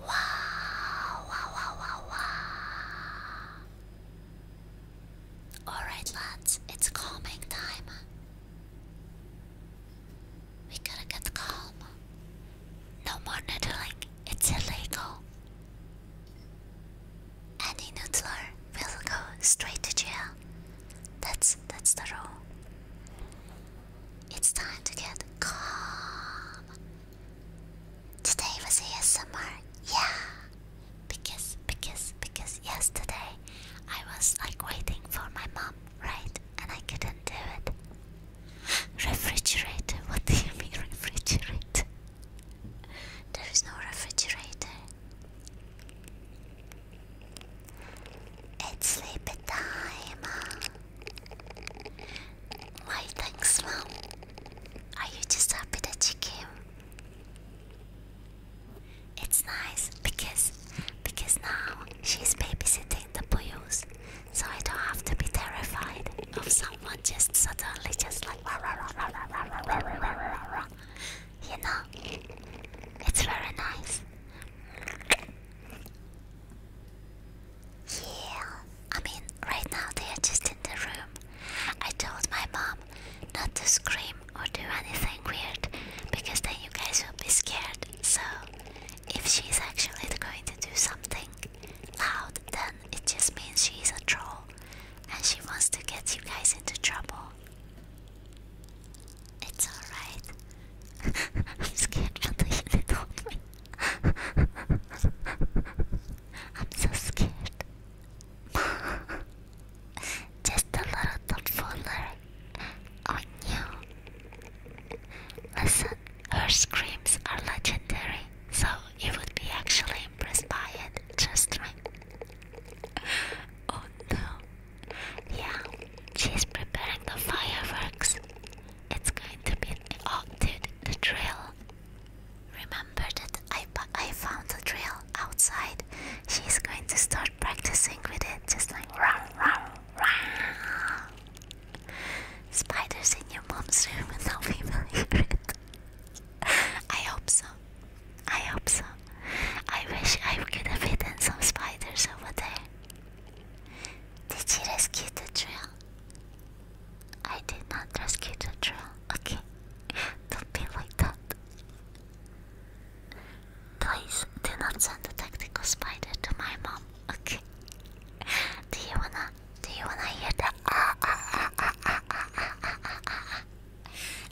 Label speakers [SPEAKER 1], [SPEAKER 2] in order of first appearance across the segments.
[SPEAKER 1] Wow, wow, wow, wow, wow. Alright, lads, it's calming time. We gotta get calm. No more noodling, it's illegal. Any noodler we will go straight to jail. That's that's the rule. It's time to get calm. Today was ASMR, yeah. Because because because yesterday I was like waiting for my mom, right? And I couldn't do it. refrigerator, what do you mean refrigerator? there is no refrigerator. It's sleepy time. Why thanks, mom. Are you just happy that you came? It's nice because because now she's babysitting the boyos, so I don't have to be terrified of someone just suddenly just like you know, it's very nice. Yeah, I mean, right now they are just in the room. I told my mom not to scream or do anything weird because then you guys will be scared. So, if she's actually going to do something loud, then it just means she's a troll and she wants to get you guys into trouble. It's alright. I'm scared from the unit I'm so scared. Just a little thoughtfuler on you. Listen, her screams are legendary, so you would be actually impressed by it. Just right. Oh no. Yeah, she's preparing the fireworks. It's going to be oh, dude, the drill. Remember that I I found the drill outside. She's going to start practicing with it, just like row, row, row. Spiders in your mom's room, and now we will hear it. I hope so. I hope so. I wish I could have hidden some spiders over there. Did you rescue the drill? I did not rescue the drill. Okay. Don't be like that. Please do not send the tactical spider to my mom. Okay. Do you wanna do you wanna hear the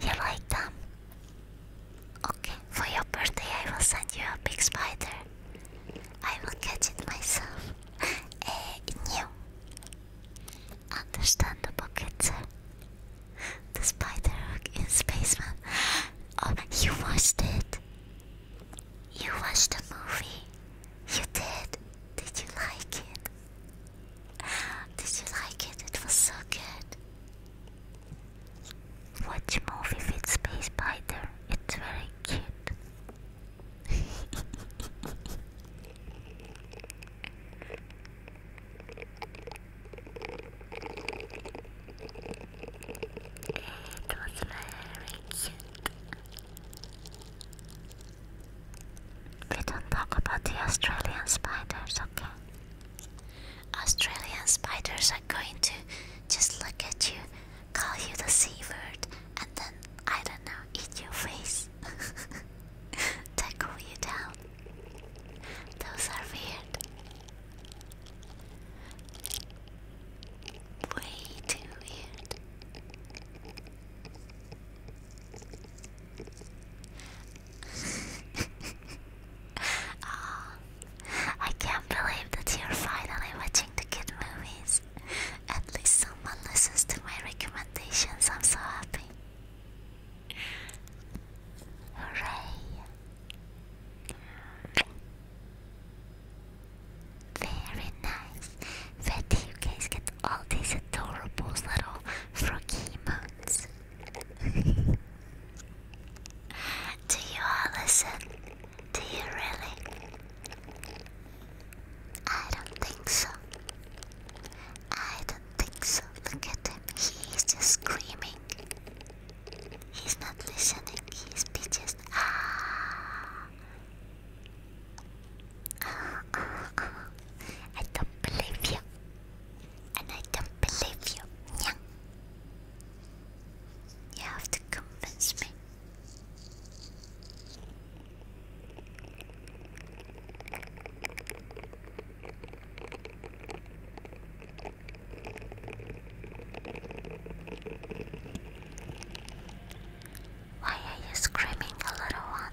[SPEAKER 1] You like them? Okay, for your birthday I will send you a big spider. I will catch it myself. eh, you. Understandable, kids. The spider in space? Oh, you watched it? You watched the movie? You did? Did you like it? Did you like it? It was so good. Watch movie with Space Spider. It's very cute. It was very cute. We don't talk about the Australian spiders, okay? Australian spiders are going to just look at you, call you the sea bird, and then, I don't know, eat your face. they cool you down. Those are weird. Way too weird oh, I can't believe that you're finally watching the kid movies. At least someone listens to my recommendations. I'm so happy. Hooray! Very nice. Where you guys get all these adorable little froggy moons? Do you all listen? Do you really? I don't think so. I don't think so. Look at him. He is just screaming. He's not listening. He's just Ah. I don't believe you and I don't believe you. Yeah. You have to convince me. Why are you screaming, little one?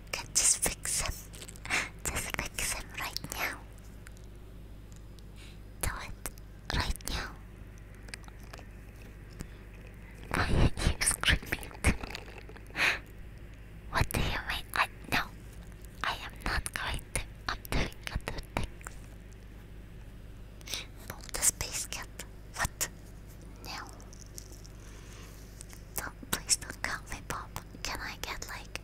[SPEAKER 1] Okay, just fix him. Just fix him right now. Do it right now. I hear you screaming. what do you mean? I no. I am not going to. I'm doing other things. Move the space cat. What? No. Don't, please don't count me Bob. Can I get like,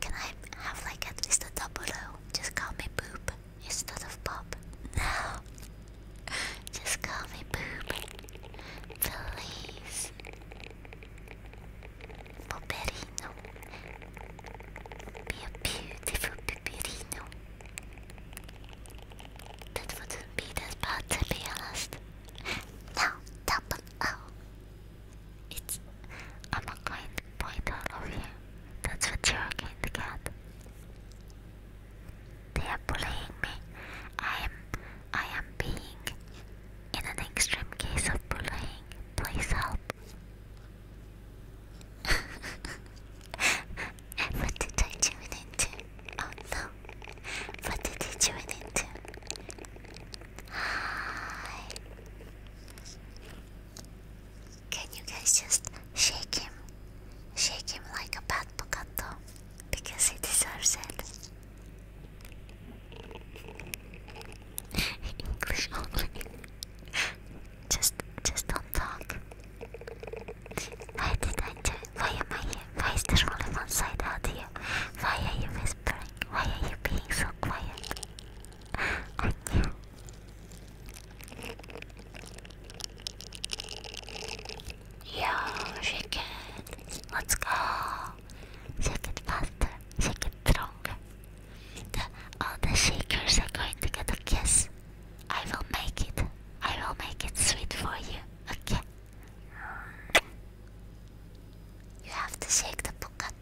[SPEAKER 1] can I have like at least a double Just call me Boop instead of Bob. No. Just call me Boop. Please. Poperino. Be a beautiful Poperino. That wouldn't be that bad to be honest. No, double O. It's. I'm not going to point out over you. That's what you're going to get. They are bullying me. I am. I am being. In an extreme case of bullying. Please help. what did I tune into? Oh no. What did he join into? Hi. Can you guys just shake him? Shake him like a bad Pocato because he deserves it. English only. just, just don't talk. Why did I join why am I here? Why is this only one side out here? Why are you whispering? Why are you being so quiet? Anya. shake it. Let's go. Shake it faster. Shake it stronger. all the shakers are going to get a kiss. I will make it. I will make it sweet for you. Okay. You have to shake the bucket.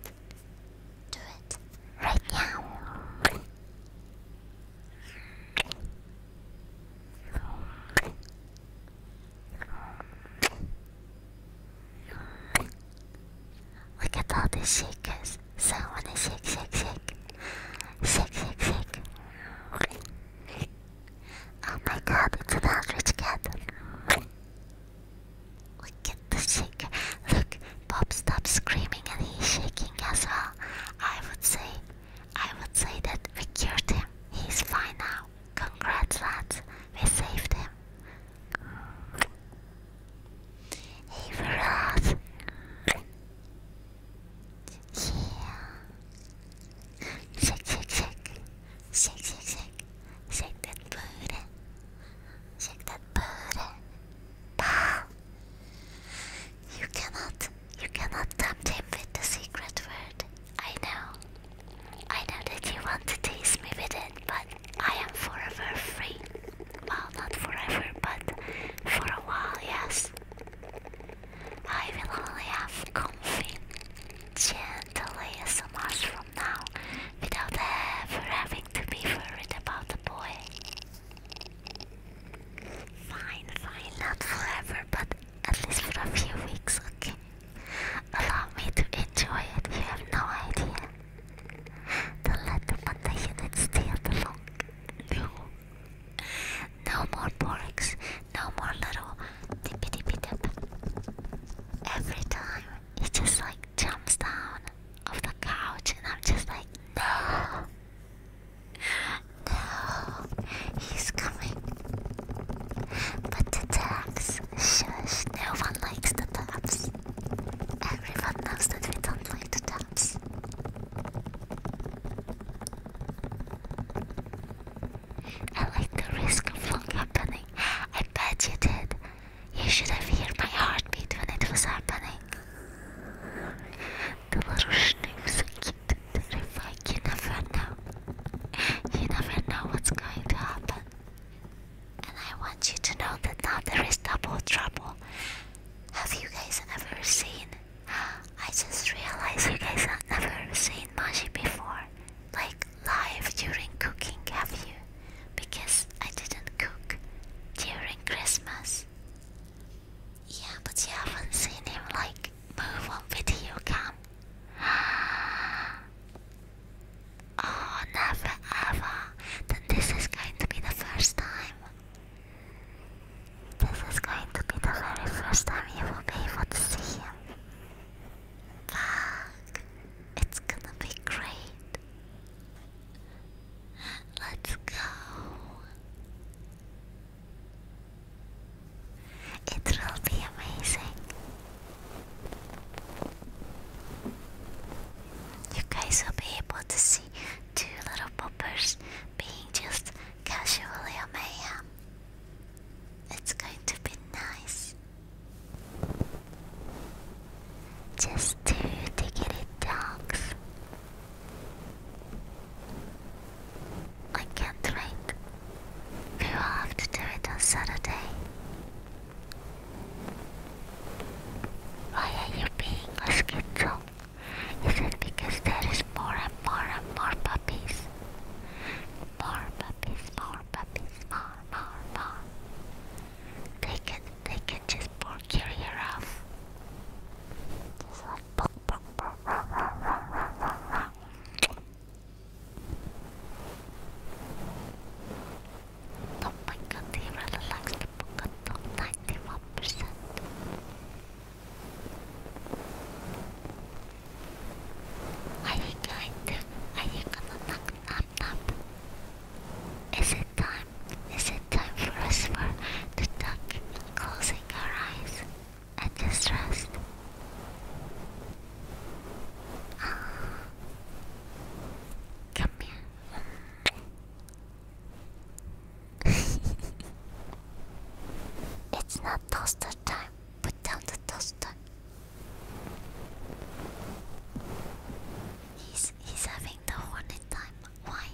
[SPEAKER 1] Do it right now. Look at all these shakers. So when I shake, shake, shake, shake, shake, shake. Oh my god, it's an average cat. Look at the sick Look, Bob stopped screaming and he's shaking as well. I would say, I would say that we cured him. He's fine now. Congrats, lads. We saved him. Hey, Veraz. Yeah. Shake, shake, shake. Shake, shake, shake. Shake that booty. Shake that booty. Pow! You cannot, you cannot tempt him with the secret word. I know. I know that you want to tease me with it, but I am forever free. Well, not forever, but for a while, yes. I will only have to comfy, gentle much from now without ever having to be worried about the boy. Fine, fine, not forever, but at least for a few weeks, okay? Allow me to enjoy it, you have no idea. Don't let them at the unit No. No more porks. No more little tippy tippy tip. Every time he just like jumps down off the couch, and I'm just like, no, no, he's coming. But the tax, shush, no one likes the taps. Everyone knows that we don't like the taps. I like the risk of long happening. I bet you did. You should have heard my heartbeat when it was happening. The little snoops are cute and terrifying. You never know. You never know what's going to happen. And I want you to know that now there is double trouble. Have you guys ever seen? I just realized you guys have never seen Maji before. Like, live during cooking, have you? Because I didn't cook during Christmas. Yeah, but you haven't seen him like move on video cam. Oh, never ever. Then this is going to be the first time. This is going to be the very first time you will be able to see him. Fuck. It's gonna be great. Let's go. It will be amazing. You guys will be able to see two little poppers being just casually a mayhem. It's going to be nice just to, to get it dogs. I can't wait. We will have to do it on Saturday. Why are you being a schizo? Is it because there is more and more and more puppies? More puppies, more puppies, more, more, more. They can, they can just pork your ear off. Just like pork, likes the Pocoto, 91%. Are you going to? Are you gonna knock knock knock? Is it time? Is it time for us for the duck, closing our eyes and just rest? Come here. it's not toaster time put down the toaster. He's he's having the hornet time. Why?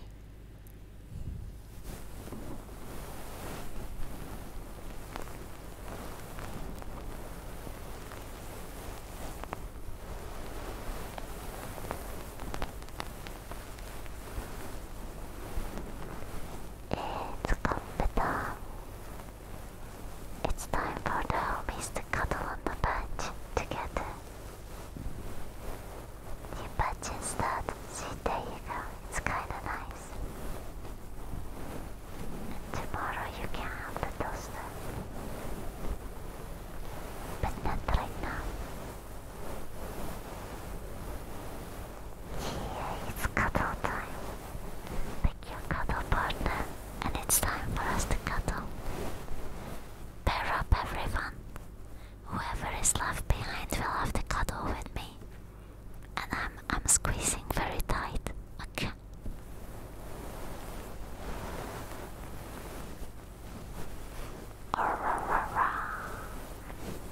[SPEAKER 1] It's comfortable. It's time for the homies to cuddle on the bench together. You patch instead. See, you go. It's kinda nice. tomorrow you can have the toaster. But not right now. Yeah, it's cuddle time your cuddle partner, and it's time for us to cuddle. Bear up, everyone. Whoever is left behind will have to cuddle with me, and I'm I'm squeezing very tight. Okay.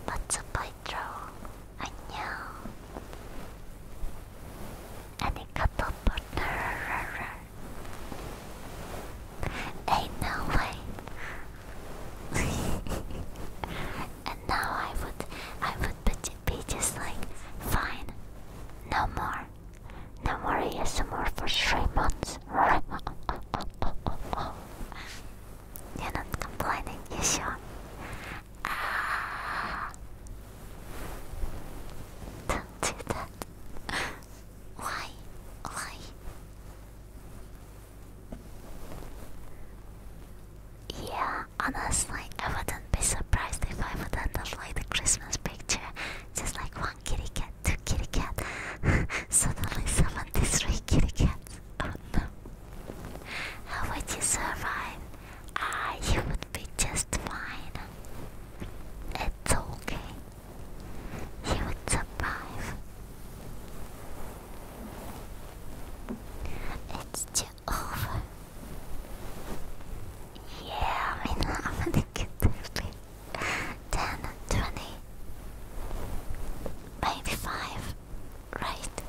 [SPEAKER 1] Let's a bite through. I know any couple partner. Ain't no way. and now I would, I would be just like, fine, no more, no more ASMR for three months. You're not complaining, you sure? Ah. do do that. Why? Why? Yeah, honestly, I wouldn't be surprised if I would end up like the Christmas picture. Just like one kitty cat, two kitty cat. Suddenly summoned these kitty cats. Oh no. How would you survive? Ah, you would be just fine. It's okay. He would survive. It's too over. Yeah, I mean, I'm going maybe 5. Right?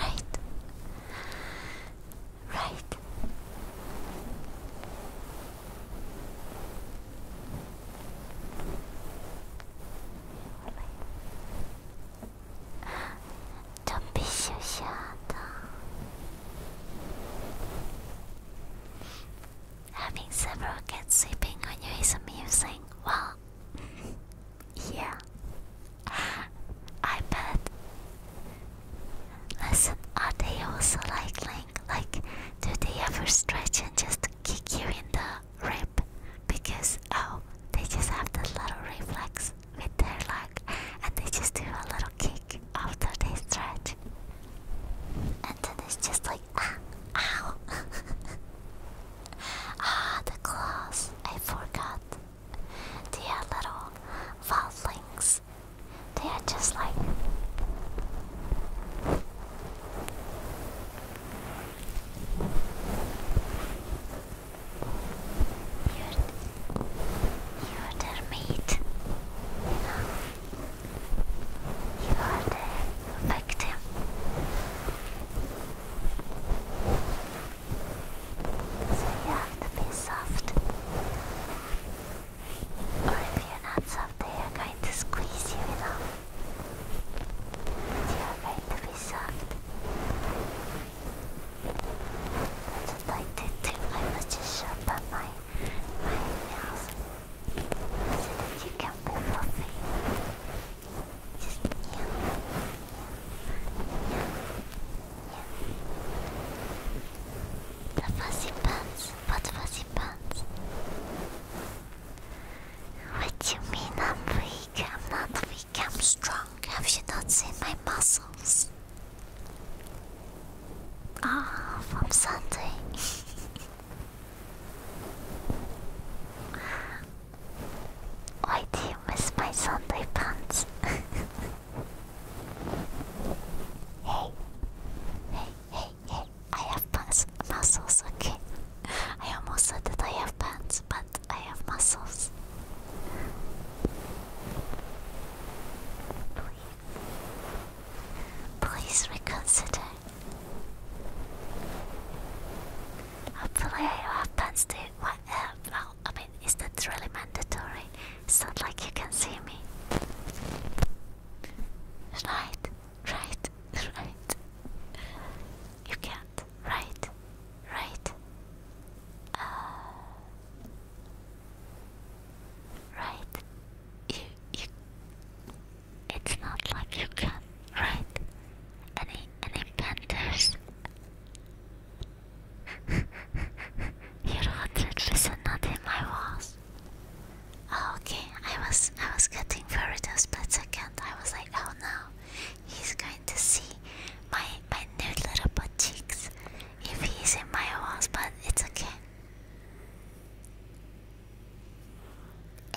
[SPEAKER 1] Right? Right. Don't be so Having several cats sleeping on you is amusing. Well, yeah. I bet. Listen, are they also lightning? Like, do they ever stretch and just kick you in the rib? Because, oh, they just have this little reflex with their leg and they just do a little kick after they stretch. And then it's just like, ah, ow. ah, the claws. I forgot. They are little foulings. They are just like you're, you're their mate. You know, you are the victim. So you have to be soft. Or if you're not soft, they are going to squeeze you, you know. you are going to be soft. That's what I did too. I just sharp my, my nails. So that you can be fluffy. Just yeah. Yeah. Yeah. Yeah. The fuzzy pants? What fuzzy pants? What do you mean I'm weak? I'm not weak, I'm strong. Have you not seen my muscles? Ah, from Sunday. Why do you miss my Sunday pants? Hey, hey, hey, hey! I have pants, muscles. Okay, I almost said that I have pants, but I have muscles. Please, reconsider. Hopefully, I have pants too. well, I mean, is that really mandatory? sound like you can see me. Right, right, right. You can't. Right, right. Uh, right. You, you. It's not like you can. Right. Any, any panthers? you rotted not in my walls. Oh, okay, I was I was getting very a split second. I was like, oh no, he's going to see my my nude little butt cheeks if he's in my walls, but it's okay.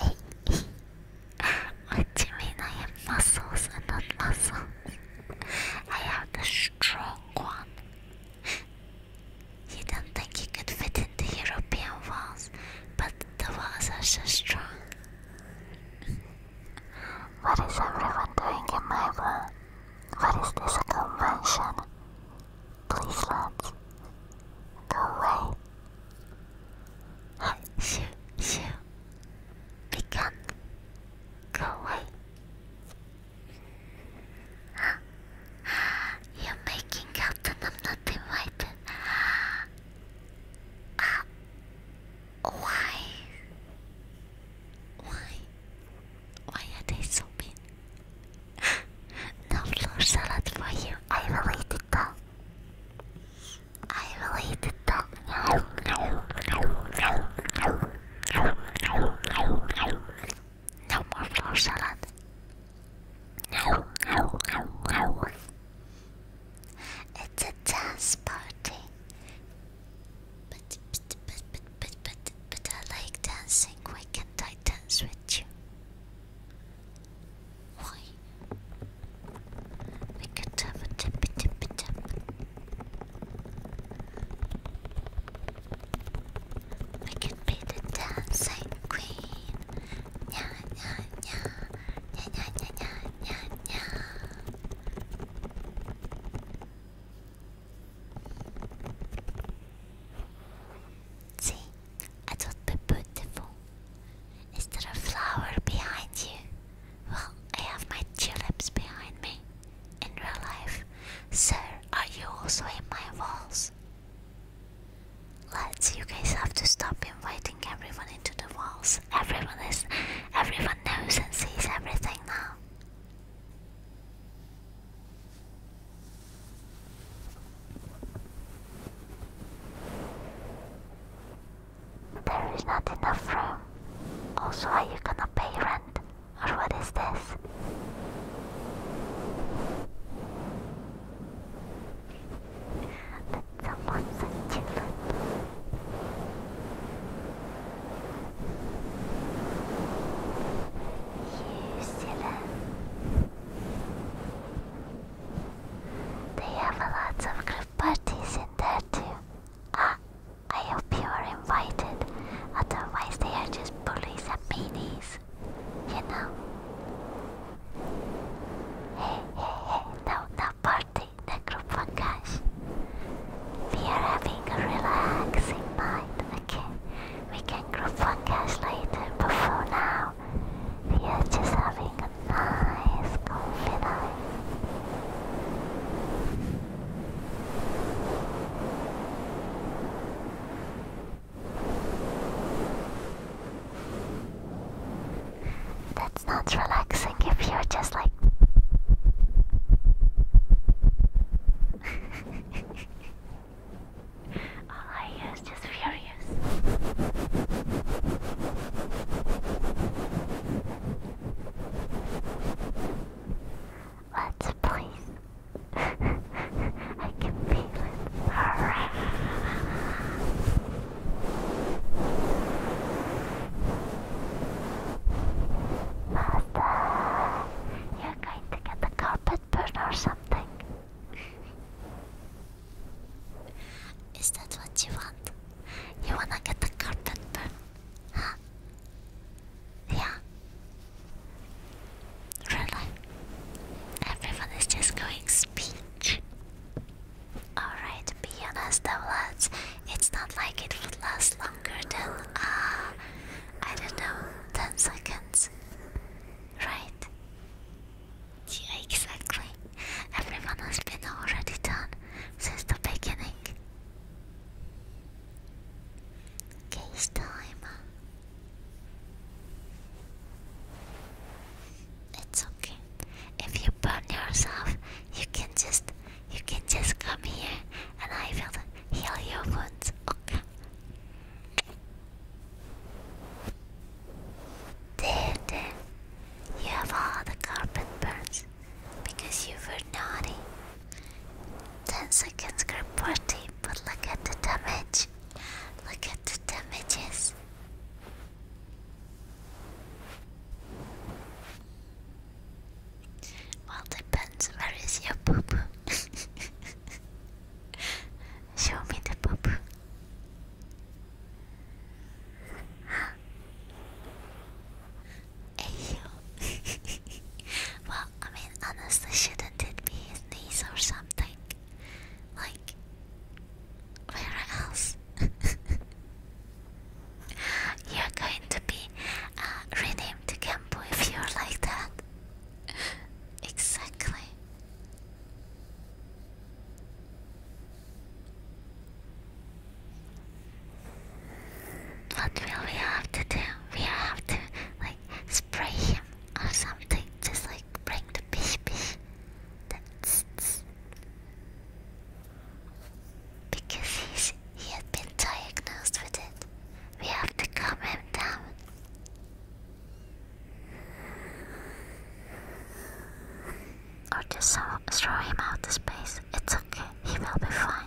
[SPEAKER 1] what do you mean I have muscles and not muscles? I have the strong one you don't think you could fit into European walls, but the walls are so strong. What is everyone doing in my room? What is this convention? Please, lads, go away. Hey, shoo, shoo. We go away. You're making out that I'm not invited. Uh, why? Why? Why are they so mean? no floor salad for you. I will eat it though. I will eat it though. No more flour salad. No, no, no, no. It's a dance party. But, but, but, but, but, but, but I like dancing. Why can't I dance with you? Why? We could have a tippy tippy tap. We could be the dancing queen. Nya, nya, nya. Nya, nya, nya, nya, nya, See, I thought be beautiful. Is there a flower behind you? Well, I have my tulips behind me. In real life, sir, are you also in my walls? Lads, you guys have to stop inviting everyone into the walls. Everyone is, everyone knows and sees everything now. There is not enough room. Also, are you gonna pay rent? Or what is this? That's someone's achievement. You silly. They have lots of group parties in there too. Ah, I hope you are invited. Otherwise, they are just police and meanies, you know. Hey, hey, hey, no, no party, group one cash. We are having a relaxing night, okay? We can group one cash later, but for now, we are just having a nice coffee that's not relaxing if you're just like. All I just furious. Let's please I can feel it. Hurrah. you're going to get the carpet burn or something. Is that what you want? You wanna get the carpet burn? Huh? Yeah. Really? Everyone is just going speech. Alright, be honest though, It's not like it would last longer than, uh, I don't know, 10 seconds. Right? Yeah, exactly. Everyone has been already done since the beginning. Case time. It's okay. If you burn yourself, you can just you can just come here and I will heal your wounds. Okay. There, there. You have all the carpet burns because you were naughty. 10 seconds, grab party but look at the damage. Look at the damages. Well, depends. Where is your poo Show me the poo poo. Hey, well, I mean, honestly, shouldn't it be his knees or something? Like, where else? you're going to be uh, renamed to Kempo if you're like that. exactly. What will we have to do? We have to like spray or something, just like bring the pish pish. That's because he's, he had been diagnosed with it. We have to calm him down. Or just uh, throw him out the space. It's okay, he will be fine.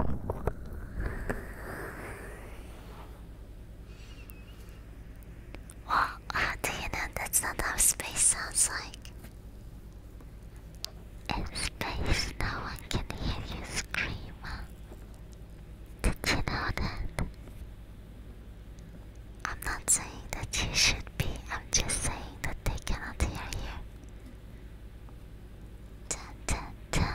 [SPEAKER 1] Well, do you know that's not space sounds like? In space, no one can hear you scream. Did you know that? I'm not saying that you should be, I'm just saying that they cannot hear you. Dun, dun, dun.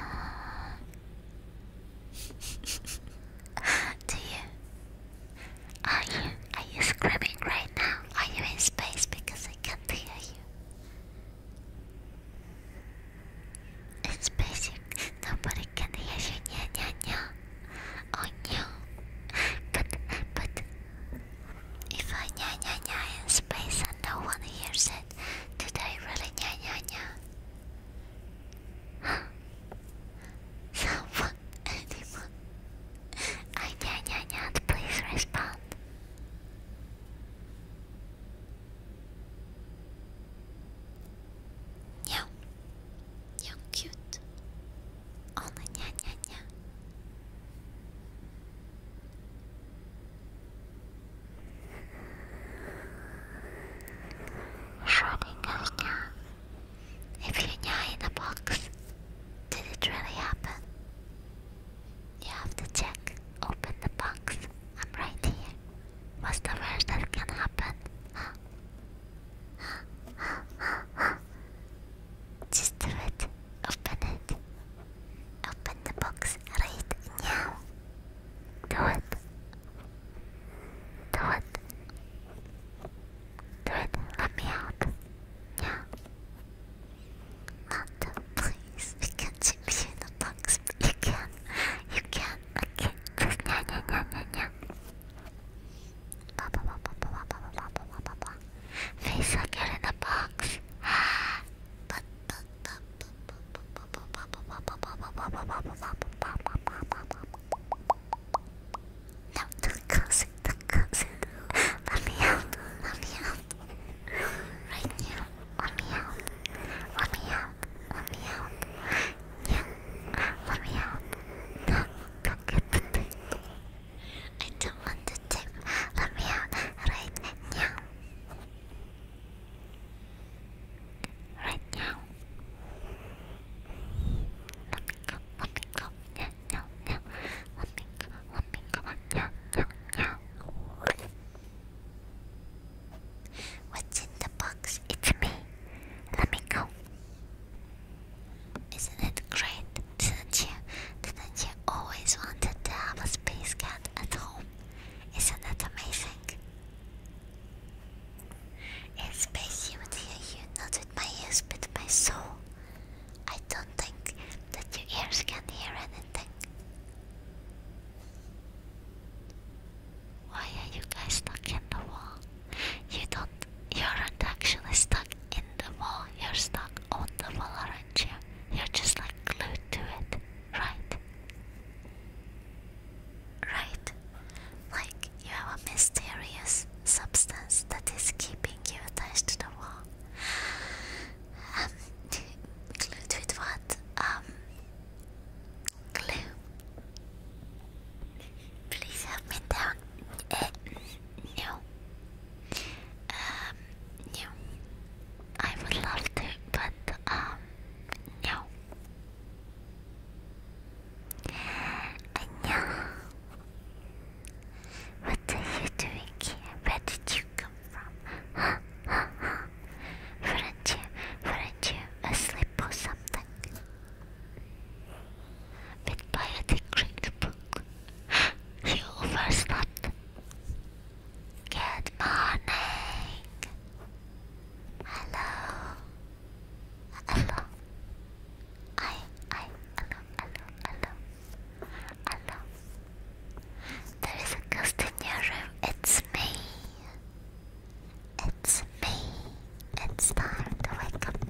[SPEAKER 1] Do you? Are you? Are you screaming right now? Are you in space? Because I can't hear you. It's basic. Nobody can hear you. Yeah, yeah, yeah. Oh no. But, but, if I nya nya nya in space and no one hears it, did I really nya nya nya? Huh? Someone, anyone? I nya nya nya, please respond. Nya, nya cute. Only nya nya nya. Schrodinger's cat. If you die in a box, did it really happen? You have to check. Open the box. I'm right here. What's the worst that can happen? Just do it. Open it. Open the box right now. Do it. Do it. Do it. Let me out. Yeah. Not the You can't see in the box. But you can. You can. Okay. Just yeah, yeah, yeah, yeah, yeah. Blah, blah, blah, blah, blah, blah, blah, blah, blah, blah, Face like in the box. but let me out, let me out. Right now, let me out. Let me out, let me out. Yeah, let me out. No, don't get the I don't want to tip. Let me out right now. Right now. Let me go, let me go, yeah, yeah, yeah. Let me go, let me go, yeah, yeah, yeah. What's in the box? It's me. Let me go. Isn't it great? Didn't you? Didn't you always wanted to have a space cat at home? Isn't that amazing? In space, you would hear you not with my ears but my soul. I don't think that your ears can hear anything. Why are you guys stuck in the wall? You don't. You aren't actually stuck in the wall. You're stuck on the wall, are are you? are just like glued to it, right? Right. Like you have a mysterious substance that is keeping you attached to the wall. Um, glued with what? Um, glue. Please help me down. Uh, no. Um, no. I would love to, but um, no. No. What are you doing here? Where did you come from? Huh? Huh? Huh? Weren't you, are not you asleep or something? With biodegradable book, you overslept. Good morning. Hello. Hello. I I hello hello hello hello. There is a ghost in your room. It's me. It's me. It's time to wake up.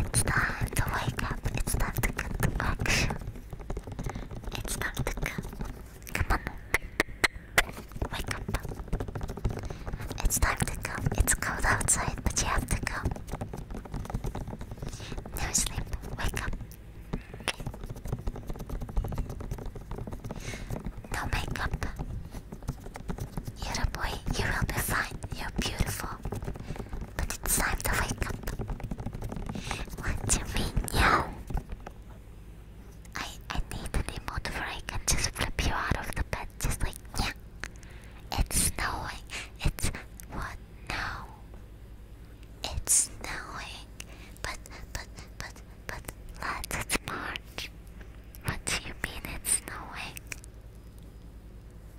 [SPEAKER 1] It's time to wake up. It's time to get to action. It's time to go. Come on. Wake up. It's time to go. It's cold outside, but you have to go. No sleep. Wake up. No makeup. You're a boy. You will be fine. You're beautiful. But it's time to wake up. What do you mean, yeah? I I need an emote where I can just flip you out of the bed, just like yeah. It's snowing. It's what now? It's snowing. But but but but lads, it's March. What do you mean it's snowing?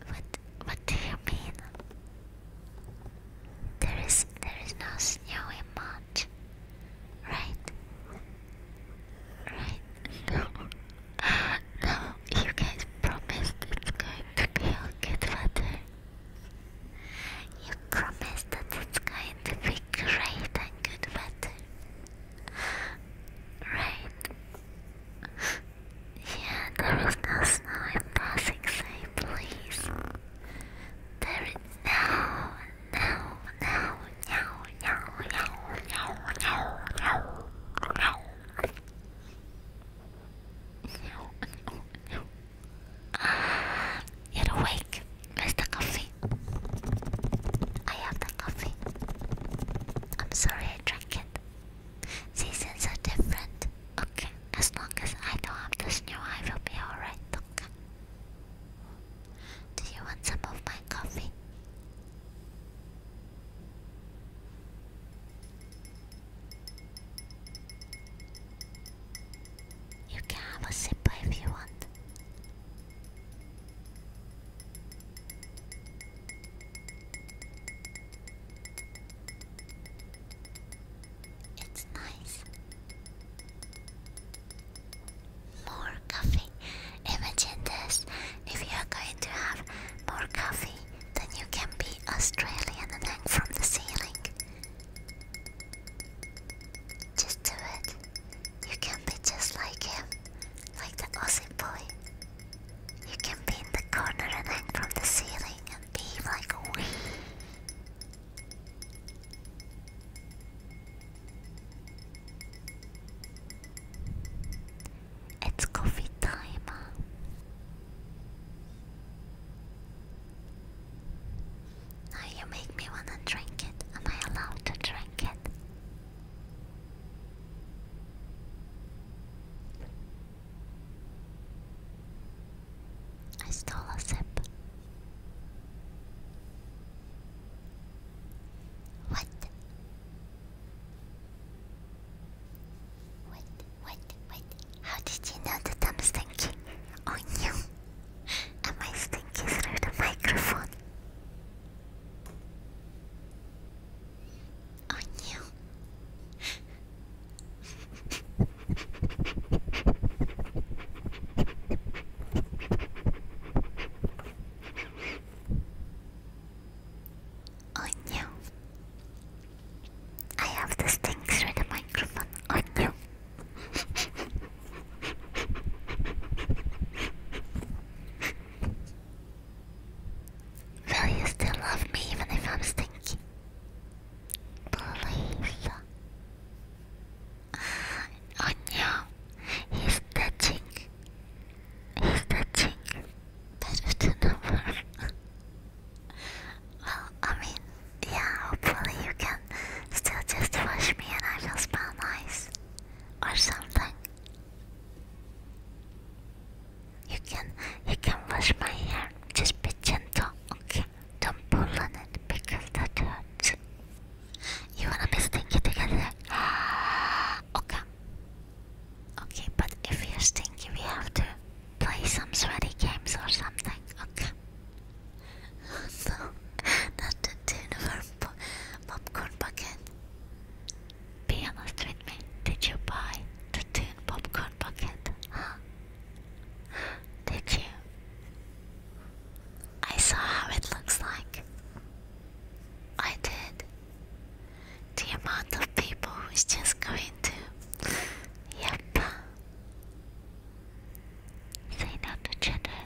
[SPEAKER 1] What what do you mean? There is there is no snow in March, right? Right? No, no. You guys promised it's going to be good weather. You promised that it's going to be great and good weather, right? Yeah, there is no snow in passing, say please. There is no, no, no, no, no, no, no, no, no, no. Ah, you're awake. Where's the coffee? I have the coffee. I'm sorry I drank it. Seasons are different. Okay. As long as I don't have to snow, I will be alright, okay? Do you want some of my coffee? You can have a sip if you want. It's nice. More coffee. Imagine this. If you are going to have more coffee, then you can be Australian and hang from the ceiling. Just do it. You can be just like him, like the Aussie boy. You can be in the corner and hang from the ceiling and be like, wee. It's coffee time. Now you make me wanna drink it. Am I allowed to drink it? I stole a sip. What? Wait, wait, How did you know that I'm stinky? Oh no. Am I stinky through the microphone? Oh no. Oh no. I have this thing through the microphone. Oh no. Will you still love me even if I'm stinky? Please. Oh no, he's touching. He's touching. Better to number. well, I mean, yeah, hopefully you can still just wash me and I will smell nice. Or something. You can you can wash my hair. Just be gentle, okay? Don't pull on it because that hurts. You wanna be stinky together? okay. Okay, but if you're stinky, we have to play some sweaty games or something. Okay. So, not the tune of po popcorn bucket. Be honest with me. Did you buy the tune popcorn bucket? Did you? I saw how it looks like. I did. The amount of people who's just going to. Yep. Say no to cheddar.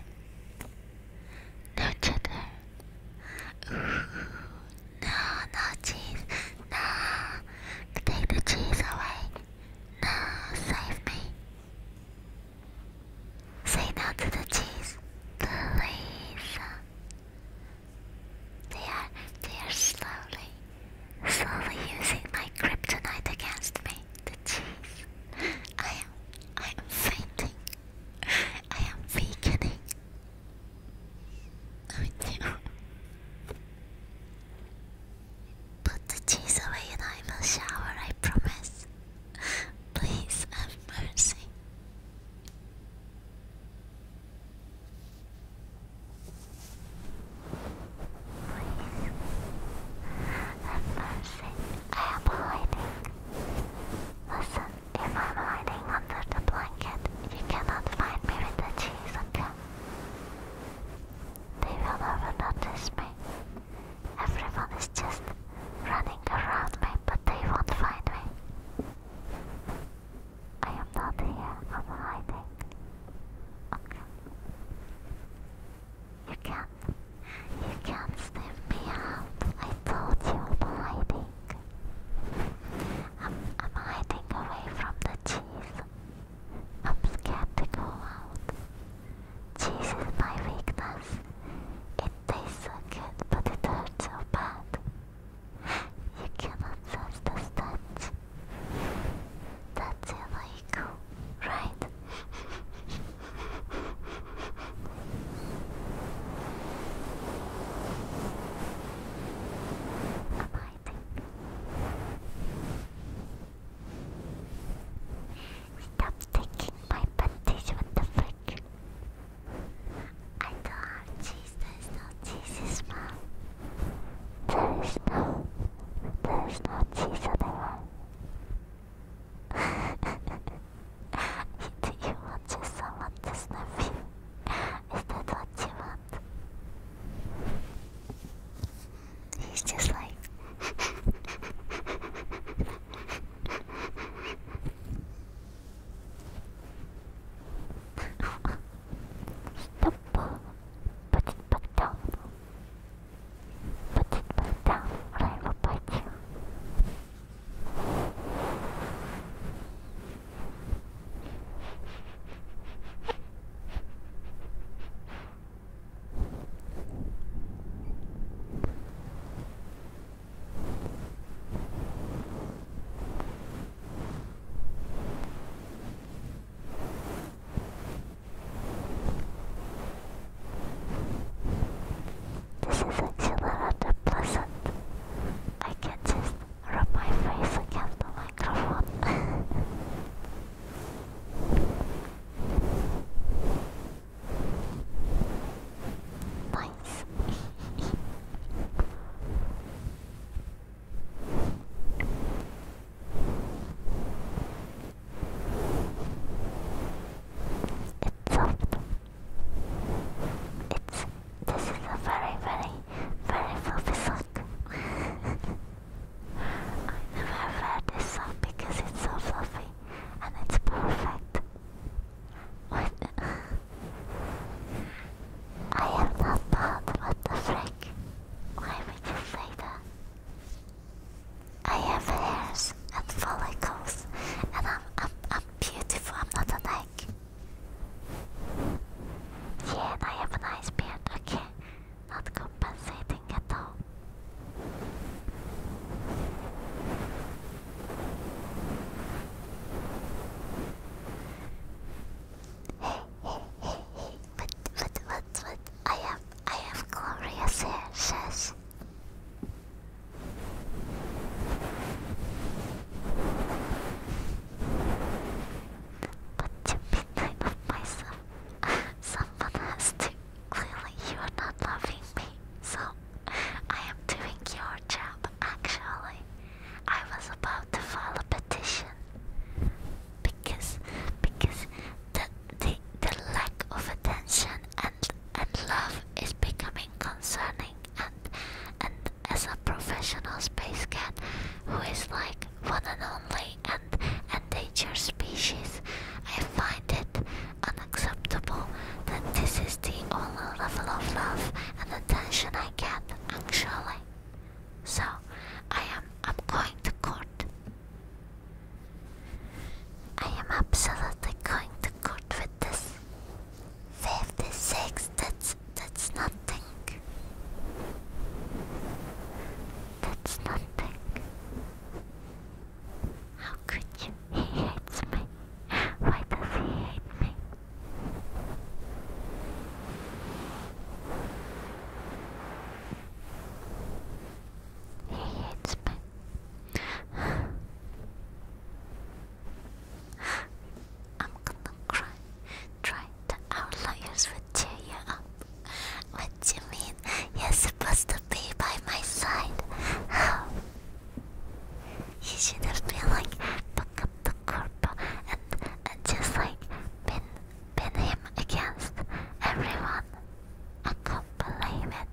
[SPEAKER 1] No cheddar. Ooh, no, no cheese. No. Take the cheese away. No, save me. Say no to the cheese, please. They are, they are slowly, slowly using my kryptonite against me. The cheese. I am, I am fainting. I am weakening. I mean, Put the cheese away and I will shower, I promise. Please have mercy. Please have mercy. I am hiding. Listen, if I'm hiding under the blanket, you cannot find me with the cheese, They will never notice me. Everyone is just running around me, but they won't find me. I am not here, I'm hiding. Okay. You can't. You can't sniff me out. I told you I'm hiding. I'm, I'm hiding away from the cheese. I'm scared to go out. Cheese is my weakness. It tastes so good, but it hurts so bad. You cannot sense the touch. That's illegal, right? Amazing. Stop taking my panties, what the fuck? I don't have cheese, there's no cheese in There is no, there is no Jesus anywhere. Do you want just someone to sniff Is that what you want? He's just like. Stop. Put it back down. Put it back down, I will bite you. This isn't similar to pleasant. I can just rub my face against the microphone. Nice. it's soft. It's this is a very, very, very fluffy sock. I never this sock because it's so fluffy and it's perfect. I have not bad, what the frick? Why would you say that? I have hairs and follicles, and I'm, I'm, beautiful, I'm not a egg. Yeah, and I have a nice beard, okay. Not compensating at all. Hey, hey, hey, hey! What, what, what, what? I have, I have glorious hair, shush. But to midnight of myself, someone has to clearly you're not loving me, so I am doing your job actually. I was about to file a petition because because the the, the lack of attention and and love is becoming concerning and and as a professional space cat who is like one and only and endangered species I find it unacceptable that this is the only level of love and attention I get actually. So I am I'm going to court. I am absolutely going to court with this. 56 that's that's nothing. That's nothing. How could you? He hates me. Why does he hate me? He hates me. I'm gonna cry. Try to our lawyers would cheer you up. What do you mean? You're supposed to be by my side. You should have been like, pick up the corpo and, and just like pin, pin him against everyone. I can't believe it.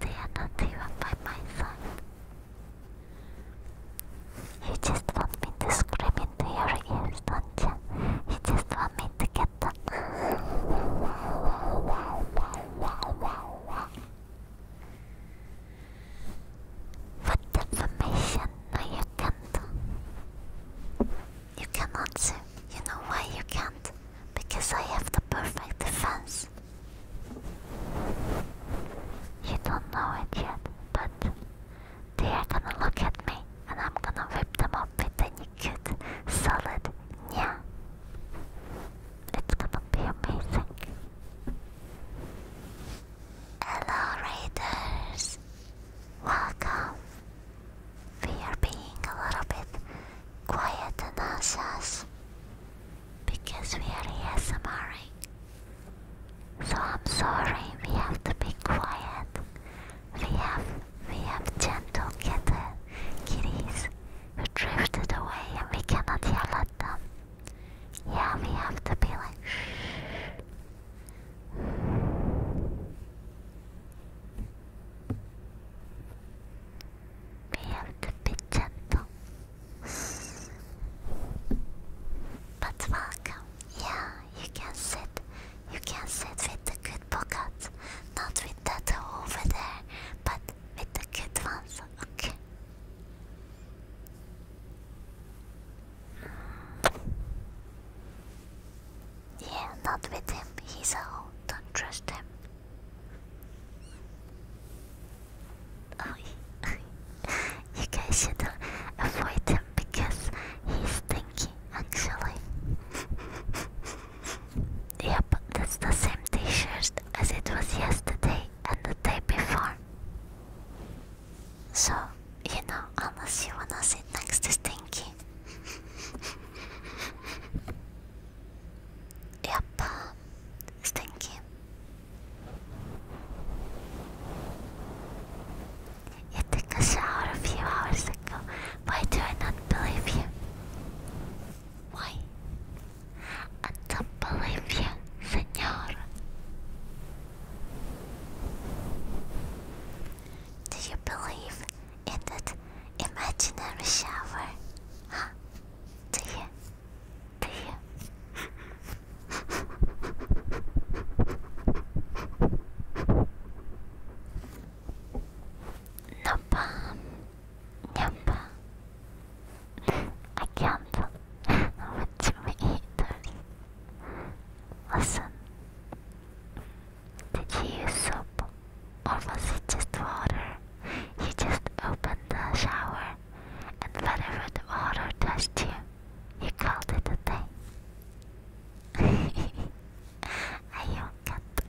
[SPEAKER 1] They are not even by my side. You just want me to scream into your ears, don't you? You just want me to get what information? No, you can't. You cannot sue. You know why you can't? Because I have the perfect defense. You don't know it yet, but they are gonna look at me and I'm gonna whip them up with any naked salad. Yeah. It's gonna be amazing. Hello, Raiders! Welcome! We are being a little bit quiet and anxious because we are ASMRing. So I'm sorry we have to be quiet we have we have gentle kitten kitties who drifted away and we cannot yell at them. Yeah, we have to be like We have to be gentle. But welcome. Yeah, you can sit. You can sit with the good book out, not with over there, but with the cute ones, okay? Yeah, not with him. He's old. Don't trust him. Oh, you guys should avoid him because he's stinky, actually. Yep, that's the same t-shirt as it was yesterday and the day before. So, you know, unless you wanna sit next to Stinky. yep, um, Stinky. You took a shower a few hours ago. Why do I not believe you? Why? I don't believe you, senor. Do you believe in that imaginary shower? Huh? Do you? Do you? no bomb. Nyamba. I can't. Watch it. haters. Listen. Did you use soap? Or was it just water? You just opened the shower and whatever the water touched you, you called it a day. あよかった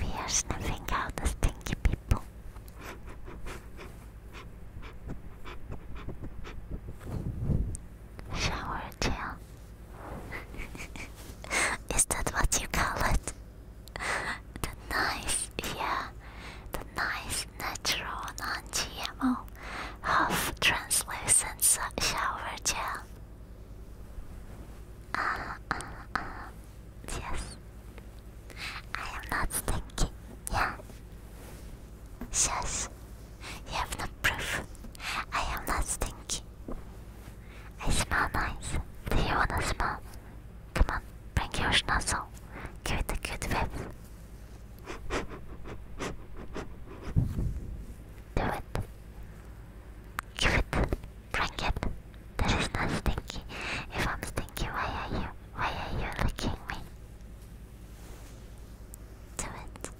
[SPEAKER 1] We are sniffing out the stinky people Shower gel Is that what you call it? The nice, yeah, the nice natural non GMO half translucent shower gel. Uh, uh, uh, yes. I am not stinky. Yeah. Shush. You have no proof. I am not stinky. I smell nice. Do you wanna smell? Come on, bring your schnozzle. Give it a good whip. Do it. Give it. Bring it. There is not stinky. If I'm stinky, why are you? Why are you licking me? Do it.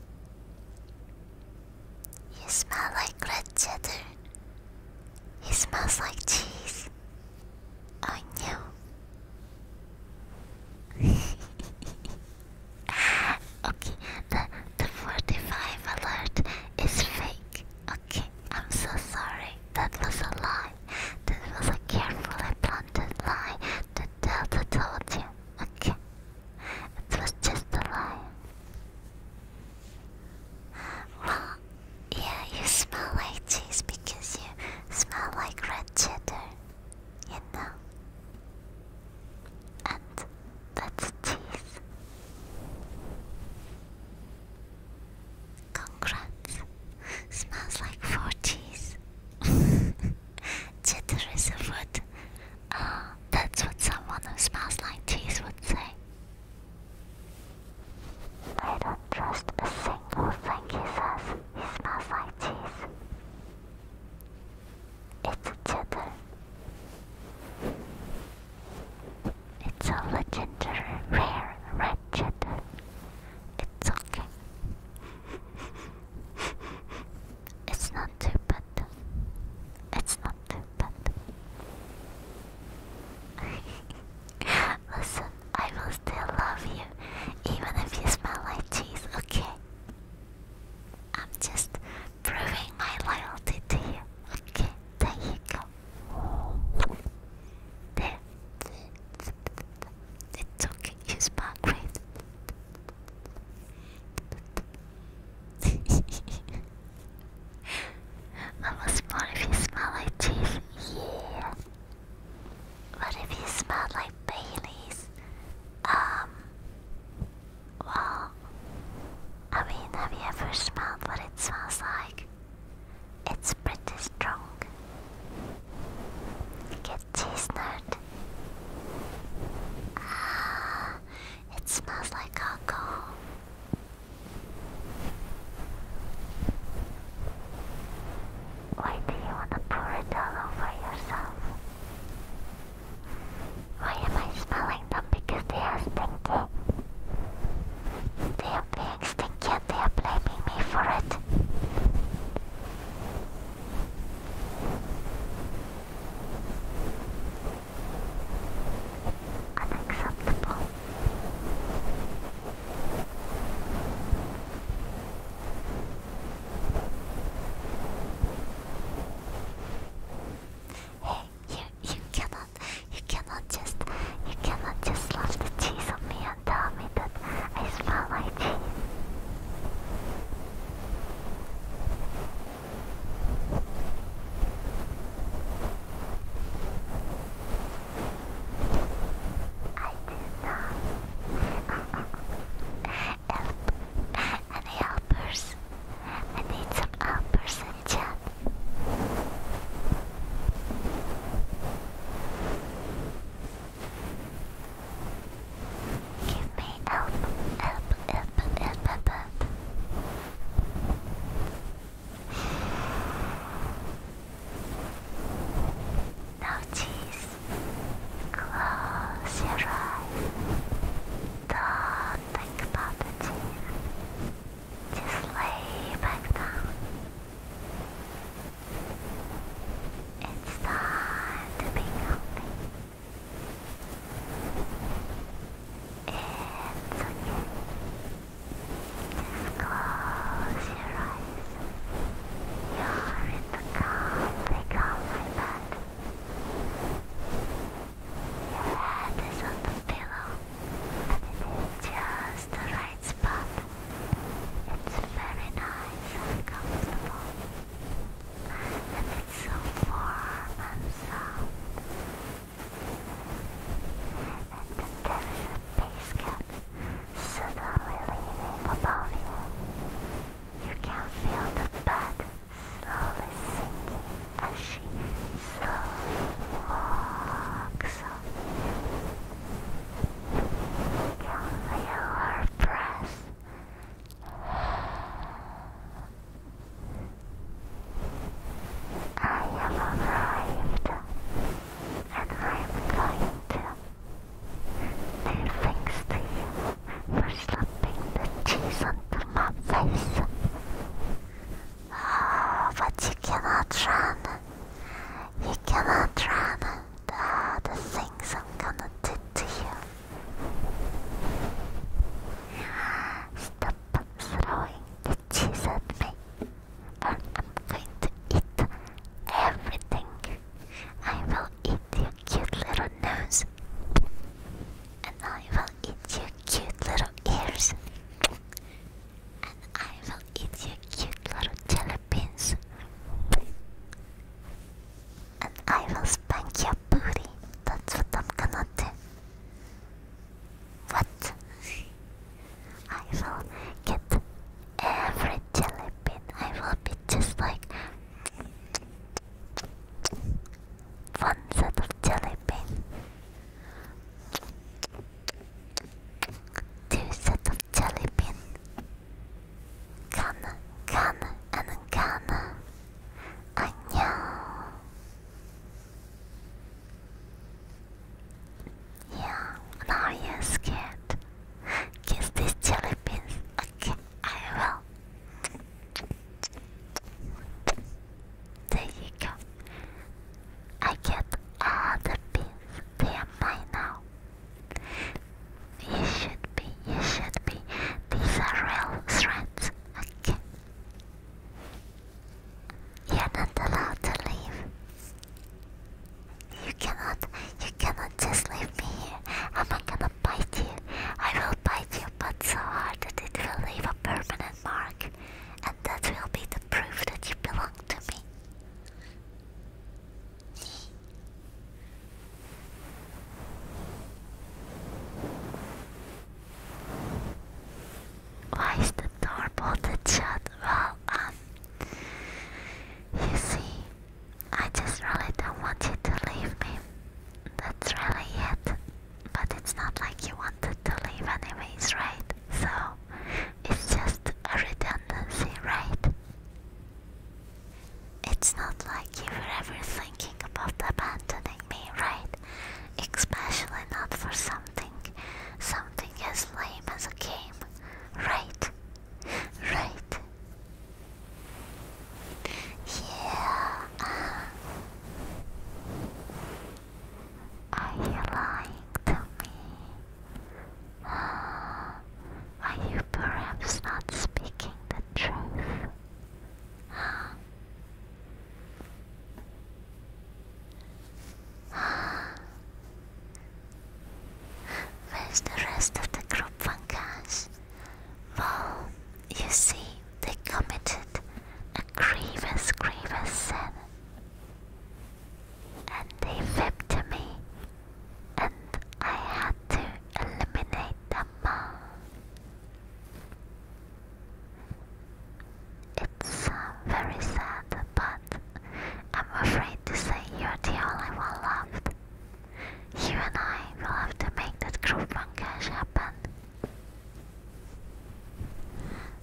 [SPEAKER 1] You smell like red cheddar. He smells like cheese. I oh, knew. Ah, okay, the the forty five alert is fake. Okay, I'm so sorry. That was a lie. This was a carefully planted lie. The Delta told you. Okay, it was just a lie. Well, yeah, you smell like cheese because you smell like red cheddar you know. And that's cheese. Congrats. Smells like four cheese. Cheddar is a food. Uh, that's what someone who smells like cheese would say. I don't trust a single thing he says. He smells like cheese. It's a tether. It's a legendary rare red cheddar. It's okay. it's not too bad. It's not too bad. Listen, I will still love you even if you smell like cheese, okay? I'm just proving my loyalty to you. Okay, there you go. There. okay, you smell great. I was more if you smell like cheese. Yeah. What if you smell like Bailey's? Um. Well, I mean, have you ever smelled what it smells like? It's pretty strong. Get cheese Ah, it smells like cocoa. Why do you want to pour it all over yourself? Why am I smelling them? Because they are stinky. They are being stinky and they are blaming me for it. Unacceptable. Hey, you you cannot you cannot just you cannot just love the cheese on me and tell me that I smell like cheese. I do not. help. Any helpers? I need some helpers in Give me help, help, help, help, Now, cheese. Close your eyes. do do Just lay back down. It's time to be healthy. It's okay. Just close your eyes. You're in the calm, they calm like that. Put this on the pillow. Put it just the right spot. It's very nice and comfortable. And it's so warm and soft. And there is a base cap suddenly leaning you. You can feel the bed slowly sinking as she slowly walks up. can feel her breath. I have arrived, and I am going to do things to you. You're slapping the cheese onto my face. but you cannot run. You cannot run. Oh, the things I'm gonna do to you. Stop throwing the cheese at me, or I'm going to eat everything. I will eat your cute little nose and I will eat your cute little ears, and I will eat your cute little jelly beans, and I will spank your booty. That's what I'm gonna do. What? I will get every jelly bean. I will be just like fun set of jelly bean. Two set of jelly bean. Kana, kana, and kana. 안녕. Yeah, now you're scared. Kiss these jelly beans. Okay, I will. There you go. I get all the pins. They are mine now. You should be, you should be. These are real threats. Okay. You're not allowed to leave. You cannot, you cannot just leave me here. I'm not gonna bite you. I will bite you, but so hard that it will leave a permanent mark, and that will be the proof that you belong to me. Why is the door bolted shut? Well, um, you see, I just really don't want you to leave me. That's really it. But it's not like you wanted to leave anyways, right? So it's just a redundancy, right? It's not like you were ever thinking about abandoning me, right? Especially not for something, something as lame as a game, right? Right? Yeah, uh, are you lying to me? Are you perhaps not speaking the truth? Where's the rest of the group, Funkas? Well, you see, they committed a grievous, grievous sin. And they victimized me, and I had to eliminate them all. It's uh, very sad, but I'm afraid to say you're the only one left. You and I will have to make that group one cash happen.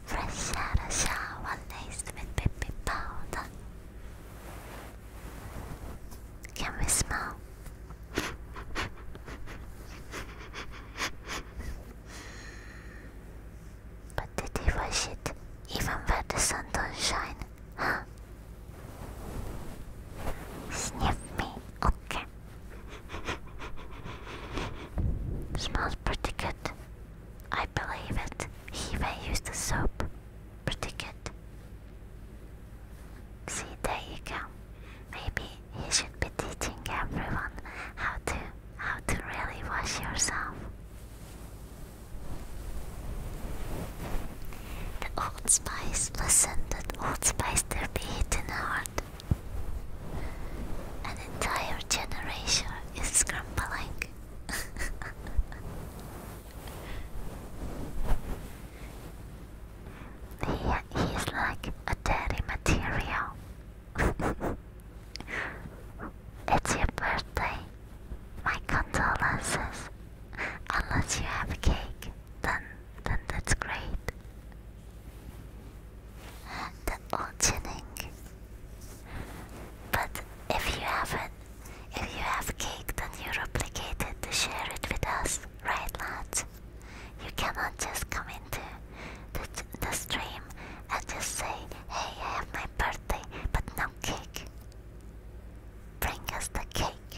[SPEAKER 1] Fresh out of shower, laced with baby powder. Can we smell? but did he wash it even where the sun don't shine? Huh? Sniff me, okay. Smells pretty good. I believe it. He even used the soap. Pretty good. See, there you go. Maybe he should be teaching everyone how to how to really wash yourself. The Old Spice, listen, that Old Spice there be hidden heart. An entire generation is scrambling. he, he's like a daddy material. it's your birthday. My condolences. Unless you have cake, then then that's great the altering. But if you haven't, if you have cake, then you replicate it to share it with us, right, lads? You cannot just come into the, the stream and just say, "Hey, I have my birthday, but no cake." Bring us the cake,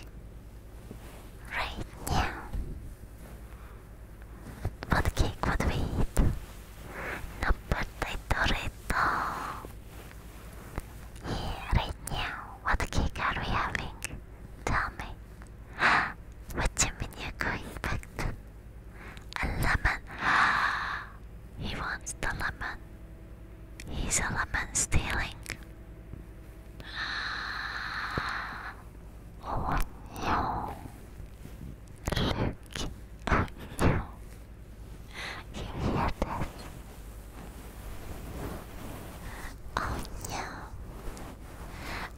[SPEAKER 1] right now. What cake would we eat? No potato rito. Yeah, right now, what cake are we having? Tell me. what do you going back a lemon? he wants the lemon. He's a lemon stealing. Oh no. Look at you. You hear this? Oh no.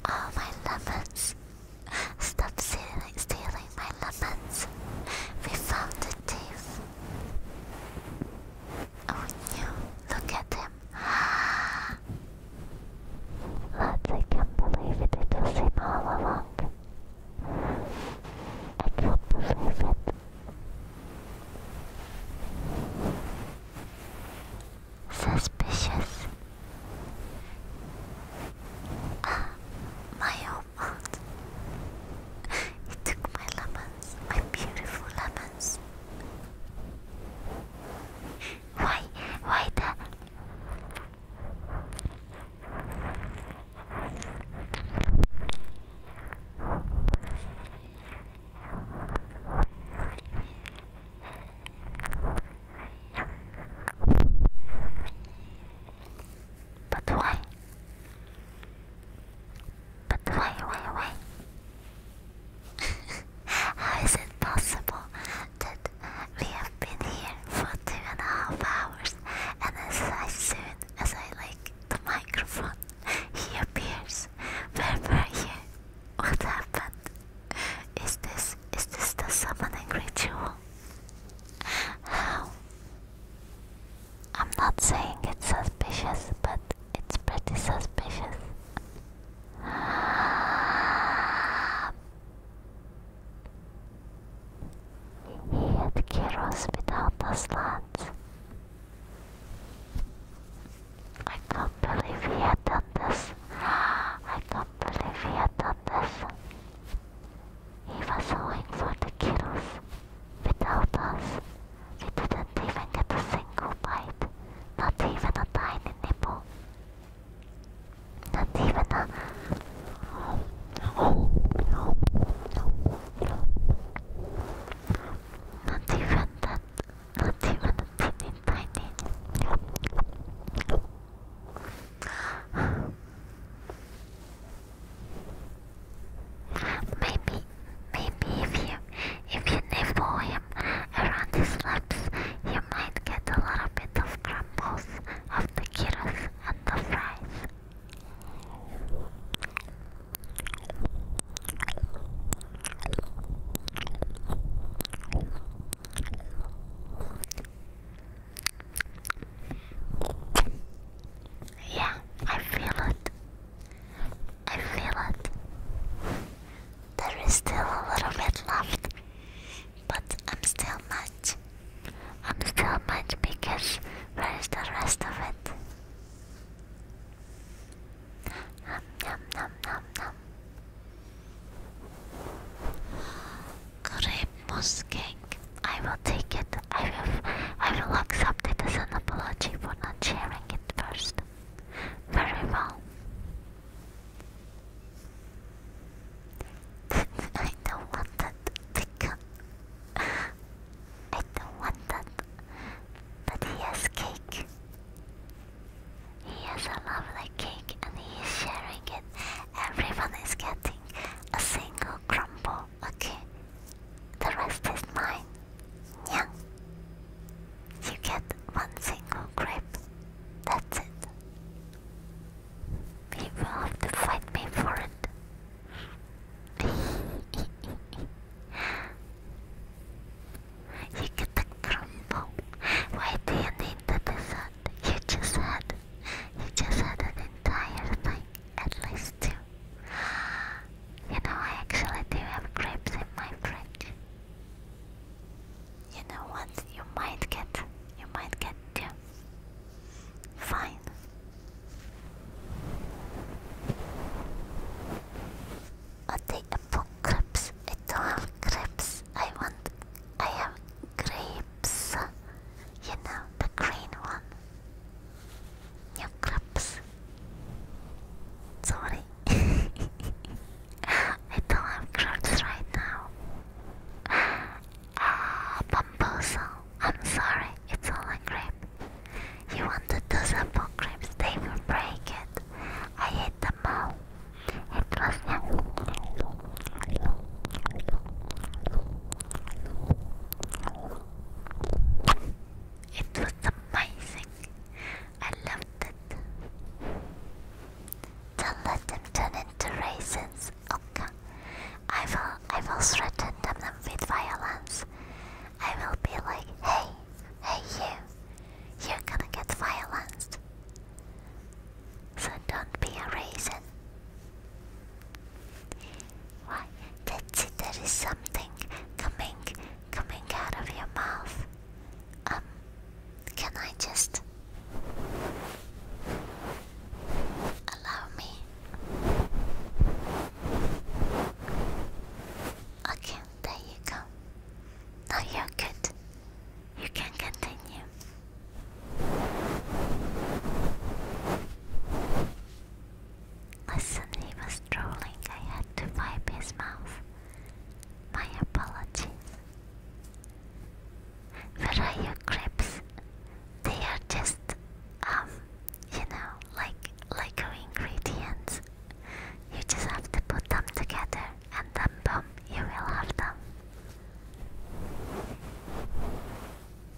[SPEAKER 1] Oh my lemons. Stop stealing, my lemons. We found the thief. Oh no. Look at him. I can't believe it. It was him all along. I can't believe it. Suspicious. Ah, my own fault. It took my lemons, my beautiful lemons. Why, why the but why? But why, why, why? How is it possible we have been here for two and a half hours, and as, soon as I like the microphone, he appears. Where were you? What happened? Is this is this the summoning ritual? How? I'm not saying it's suspicious, but it's pretty suspicious. We ate gyros without the slats. I can't believe we had done this. I can't believe we had done this. He was going for the kiddos. Without us, we didn't even get a single bite, not even a tiny nibble. That's even a. Not even that. Not even a teeny tiny. maybe, maybe if you if you nibble him around his lips, you might get a little bit of crumbles the gyros and the fries. Yeah, I feel it. I feel it. There is still a little bit left, but I'm still not I'm still much because where is the rest of it? Nom nom nom nom nom. Grape cake. I will take it. I will I will accept it as an apology for not sharing it first. Very well. I don't want that chicken. I don't want that. But he has cake. He has a lovely cake and he is sharing it. Everyone is getting a single crumble, okay? The rest is mine. Yeah. You get one single grape. That's it. You will have to fight me for it. you get the crumble. Why do you need the You just had you just had an entire thing, at least two. You know I actually do have grapes in my fridge. You know what? You might get you might get two. Fine. i take apple I don't have clips. I want. I have grapes. You know, the green one. New clips. Sorry. I don't have crabs right now. Ah, Bambozo, I'm sorry, it's all a grape. You want wanted those apple grapes, they will break it. I hit the ball. It was It was amazing. I loved it. Don't let them turn into raisins. Okay. I will I will threaten them with violence. I will be like, hey, hey you, you're gonna get violence." So don't be a raisin. Why? That's it, there is something coming coming out of your mouth. Um can I just Allow me. Okay, there you go. Now you're good. You can continue. Listen, he was trolling. I had to wipe his mouth. My apologies. Ferraya crepes. They are just, um, you know, like like ingredients. You just have to put them together, and then boom, you will have them.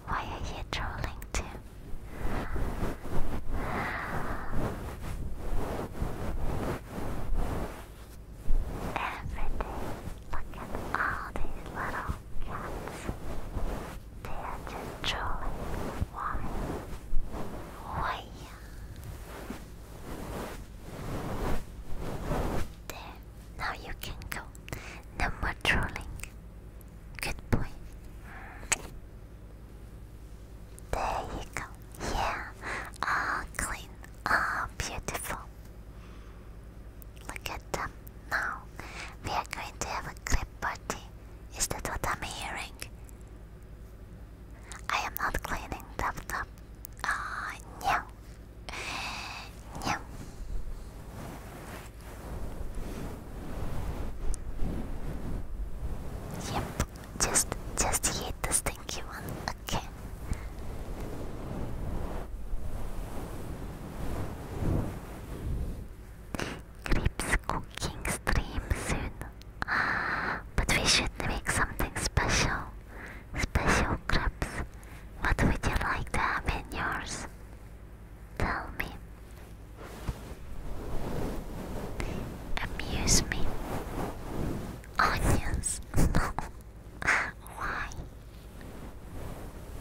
[SPEAKER 1] Why are you trolling too? Every day, look at all these little they are controlling one. Why? There, now you can go. No more trolling. Good boy. There you go. Yeah. Ah, clean. Ah, beautiful. Look at them now. We are going to have a clip party. Is that what I'm hearing? I am not cleaning Tap Tap. Ah, uh, no. No. just, just eat the stinky one. Okay. Crepes cooking stream soon. But we should make something special. Special crepes. What would you like to have in yours? Tell me. Amuse me. Onions? No. Why?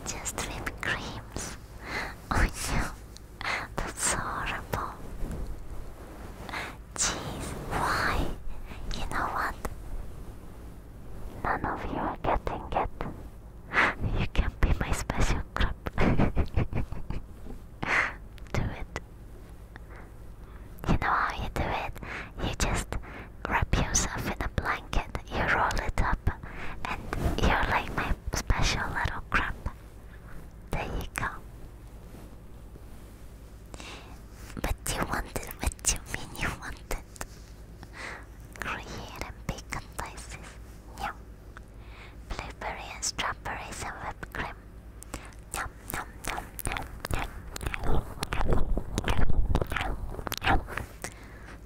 [SPEAKER 1] Just whipped creams. Oh no, that's horrible. Jeez, why? You know what? None of you are getting it. You can be my special crop. do it. You know how you do it? You just wrap yourself in a blanket, you roll it up, and you're like my special little crumb. There you go. But you wanted what you mean you wanted. Create a bake and slices. Yum. Blueberry and strawberries and whipped cream. Yum yum yum yum yum. yum.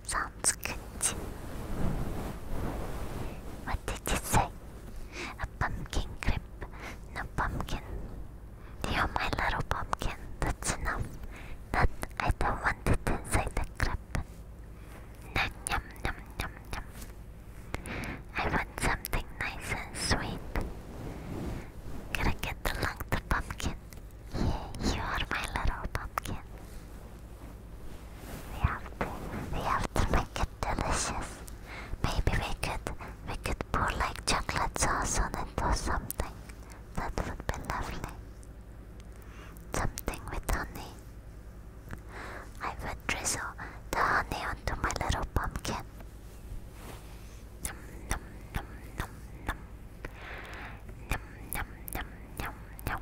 [SPEAKER 1] Sounds good. What did you say? A pumpkin grip. No pumpkin. You're my little pumpkin. That's enough. That I don't want it inside the grip. Nom yum yum yum I want something nice and sweet. Gotta get along the pumpkin pumpkin. You, are my little pumpkin. We have to, we have to make it delicious. Maybe we could, we could pour like chocolate sauce on it or something. That would be lovely. Something with honey. I would drizzle the honey onto my little pumpkin. Nom, nom, nom, nom, nom. Yum, yum, yum, yum, yum.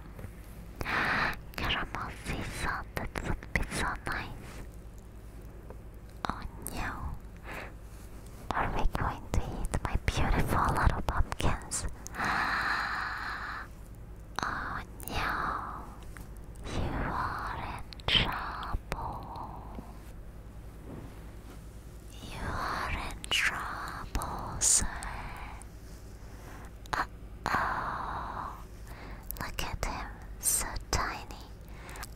[SPEAKER 1] Caramel sea salt, that would be so nice. Oh no. Are we going to eat my beautiful little pumpkins? Oh no. You are in trouble. You are in trouble, sir. Uh, oh. Look at him, so tiny,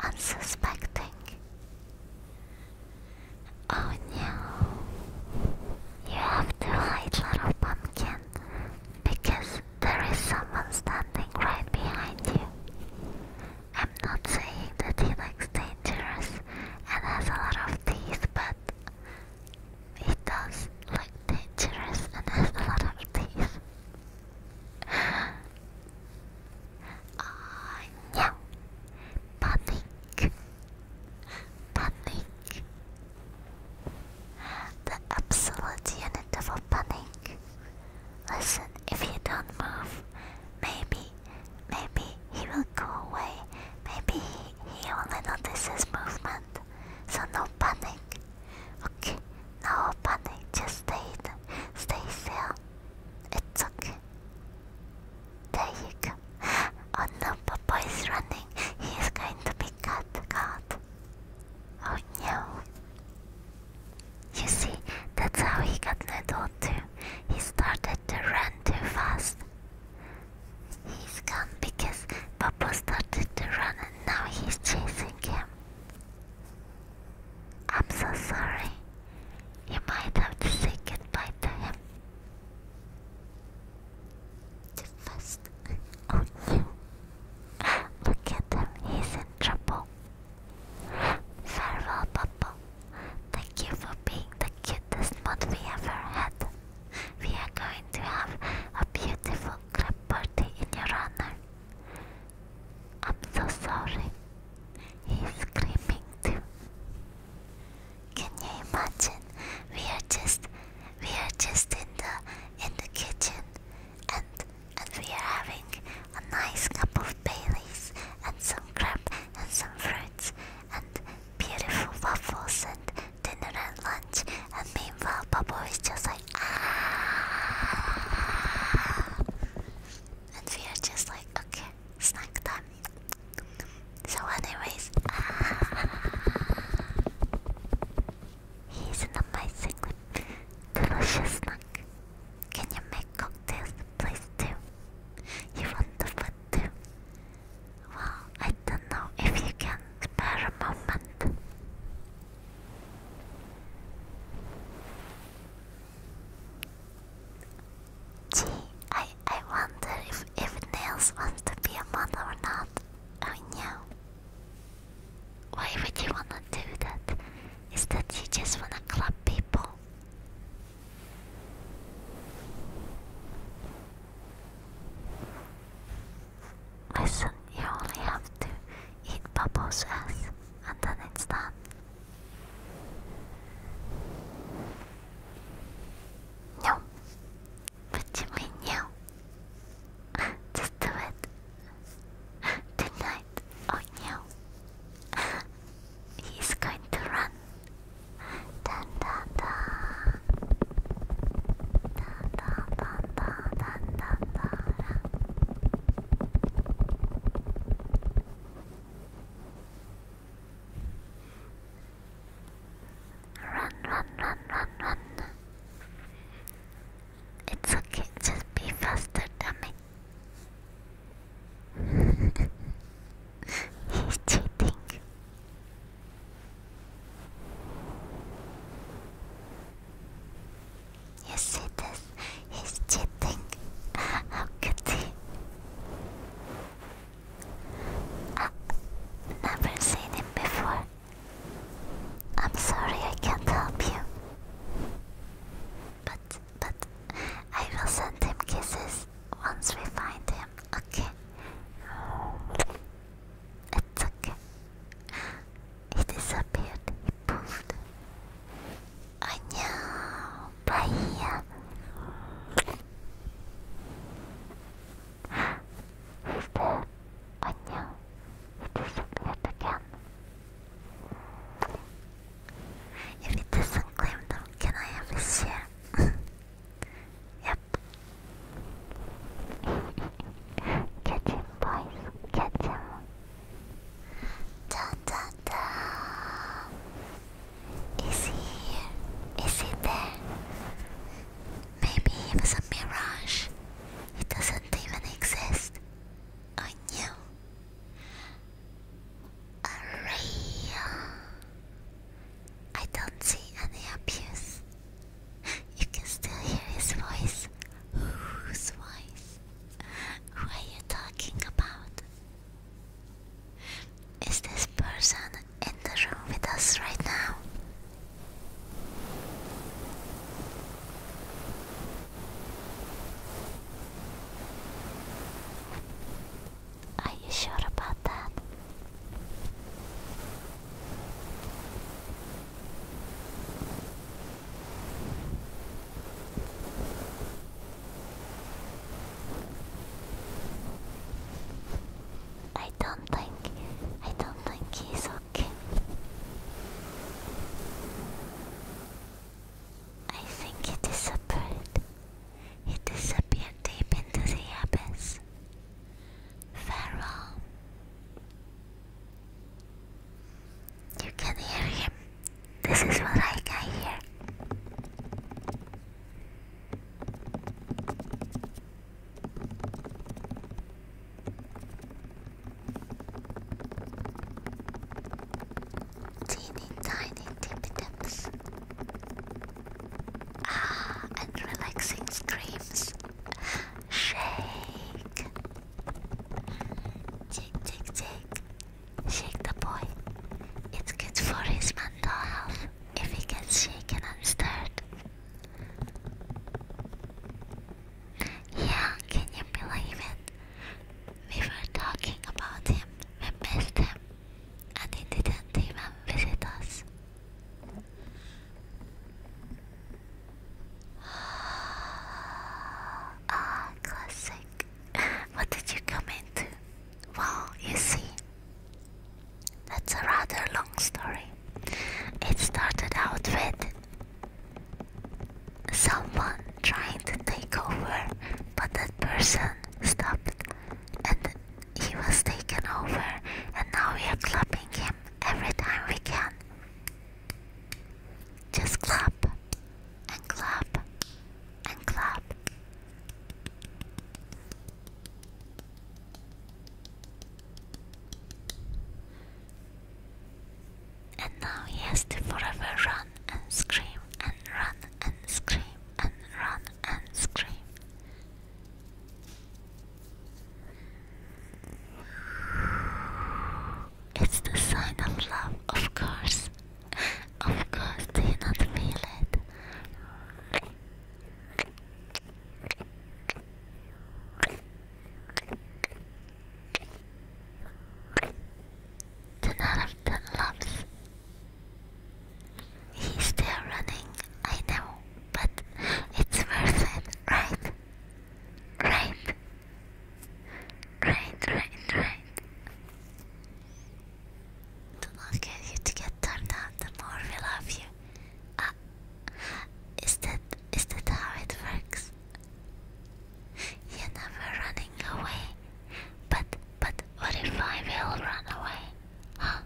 [SPEAKER 1] unsuspecting. Oh no. You have to hide, little pumpkin, because there is someone standing right behind you. I'm not saying that he looks dangerous and has a lot of teeth, but it does look dangerous and has a lot of teeth. Ah, yeah. Panic. Panic. The absolute unit of panic. Listen, if you don't move, maybe, maybe he will go away. Maybe he only notices movement, so no panic. Okay, no panic, just stay, stay still. It's okay. There you go. Oh no, Papa is running. He's going to be cut, cut. Oh no. You see, that's how he got Nedo too. He started to run too fast. He's gone because Papa started to run and now he's chasing him. I'm so sorry. You might have to say goodbye to him. To first. Oh, you. Look at him, he's in trouble. Farewell, Papa. Thank you for being the cutest mod we ever had. We are going to have a beautiful crab party in your honor. I'm so sorry. He's screaming too. Can you imagine? We are just we are just in the in the kitchen and and we are having a nice cup of Baileys and some crab and some fruits and beautiful waffles and dinner and lunch, and meanwhile, Bubble is just like, ah. And we are just like, okay, snack time. So, anyways, ah. he's an amazingly delicious snack. Can you make cocktails, please, too? You want the food, too? Well, I don't know if you can spare a moment. Gee, I, I wonder if, if Nails wants to be a mother or not. Oh no. Why would you wanna do that? Is that you just wanna club people? Listen, you only have to eat Bubbo's ass, and then it's done. No. What you mean no? Just do it. Tonight. Oh no. He's going to run. Run, run, run, run, run. It's okay, just be faster, dummy. He's cheating. You see this? He's cheating. How could he? I've never seen him before. I'm sorry I can't help you. But, but, I will send him kisses once we find him, okay? It's okay. He disappeared. He poofed. I know. Right here. there. I know. He disappeared again. If he doesn't claim them, can I have a share? Yep. Catch boys. Catch Da da da. Is he here? Is he there? Maybe he was a mirage. He doesn't even exist. I knew. A real I don't see any abuse. You can still hear his voice. Whose voice? Who are you talking about? Is this person in the room with us right now? Are you sure about that? I don't think I don't think he's okay. I think he disappeared. He disappeared deep into the abyss. Pharaoh. You can hear him. This is what I can hear. Teeny tiny tippy tips. Ah, and relaxing screams. Shake. Tick, tick, tick. Shake the boy. It's good for his mental health if he gets shaken and stirred. Yeah, can you believe it? We were talking about him, we missed him, and he didn't even visit us. Ah, classic. What did you come into? Well, you see, that's a rather long story. It started out with someone trying to take over, but that person stopped and he was taken over, and now we are clapping him every time we can. Just clap and clap and clap. And now he has to forever run and scream and run and scream and run and scream. It's the sign of love, of course. Of course, do you not feel it? Ten out of ten loves. He's still running, I know but it's worth it, right? Right, right, right, right. The longer you to get turned on, the more we love you. Ah, is that is that how it works? You're never running away, but but what if I will run away? Huh?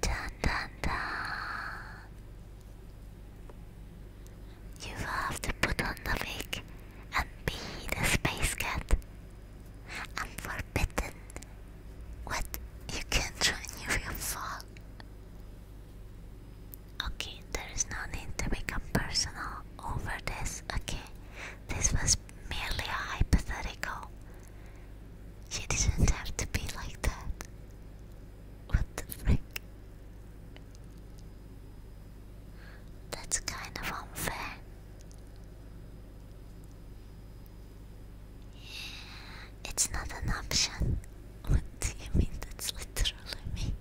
[SPEAKER 1] Dun dun dun. You have to put on the wig and be the space cat. I'm forbidden. What? You can't join if you fall. Okay, there is no need to become personal over this, okay? This was merely a hypothetical. She didn't have to be like that. What the frick? That's kind of unfair. It's not an option. What do you mean? That's literally me.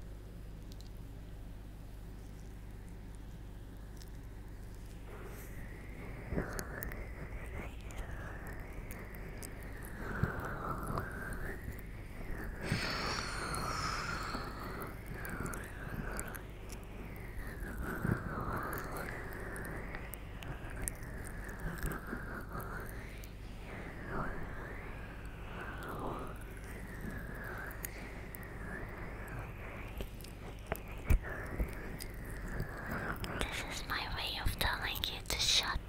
[SPEAKER 1] This is my way of telling you to shut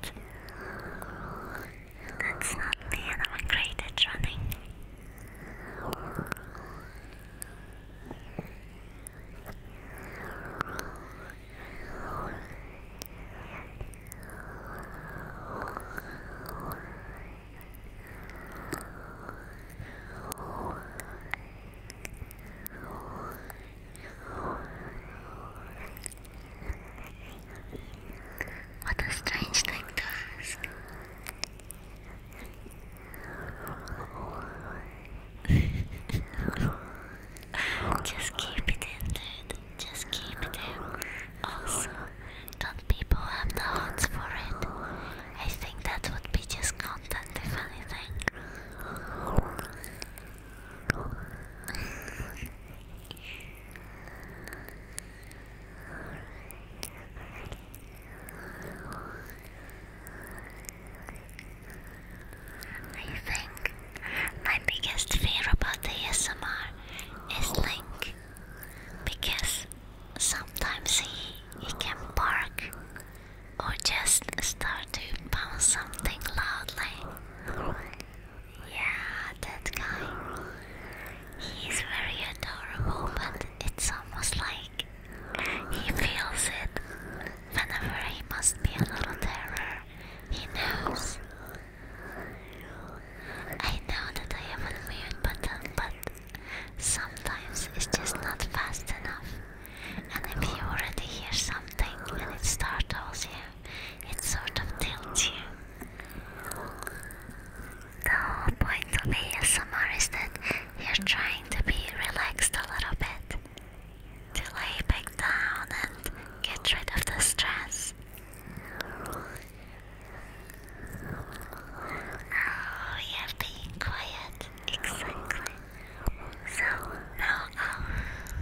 [SPEAKER 1] that's not me, and I'm great at running. What a strange thing to ask. Just keep it in, dude. Just keep it in. Also, don't people have the hearts for it? I think that would be just content, if anything. I think my biggest fear about the ASMR is Link because sometimes he, he can bark or just start to bounce something loudly yeah, that guy. He's very adorable, but it's almost like he feels it. Whenever he must be a little terror, he knows. I know that I have a mute button, but sometimes it's just not fast enough. And if you already hear something it startles you, it's sort of tilts you. The whole point of ASMR is that you're trying to be relaxed a little bit, to lay back down and get rid of the stress. Oh, you're being quiet, exactly. So now our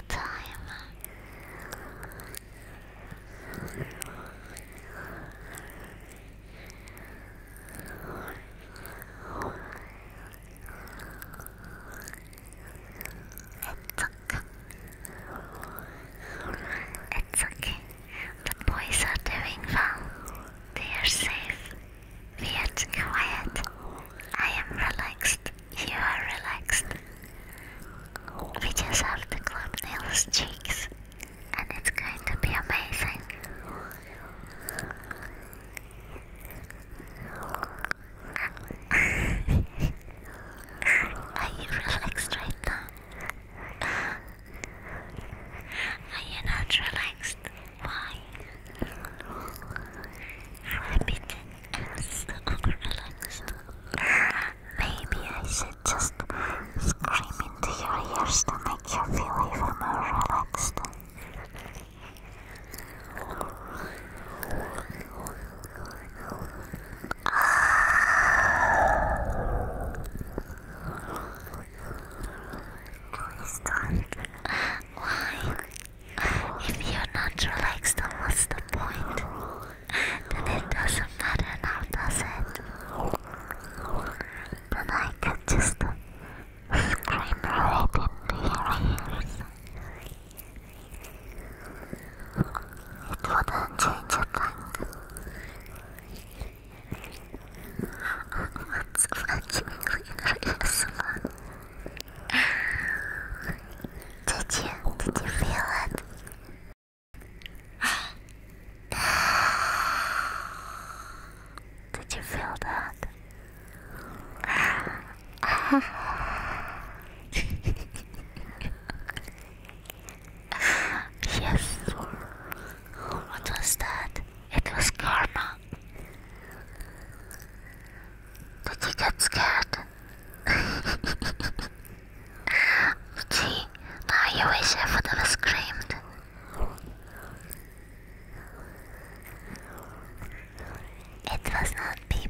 [SPEAKER 1] time it's okay. The boys are doing well. They are safe. We are quiet. I am relaxed you are relaxed. We just have to club Neil's cheeks, and it's going to be amazing. are you relaxed right now? Are you not relaxed? Why? Forbidden. Maybe I should just scream into your ears to make you feel even more relaxed. Why? If you're not relaxed, what's the point? Then it doesn't matter now, does it? Then I could just scream right into your ears. It wouldn't change a thing. That's actually really ASMR. Did you did you feel it? Did you feel that? yes. What was that? It was karma. Did you get scared? Gee, now you wish I would screamed. It was not me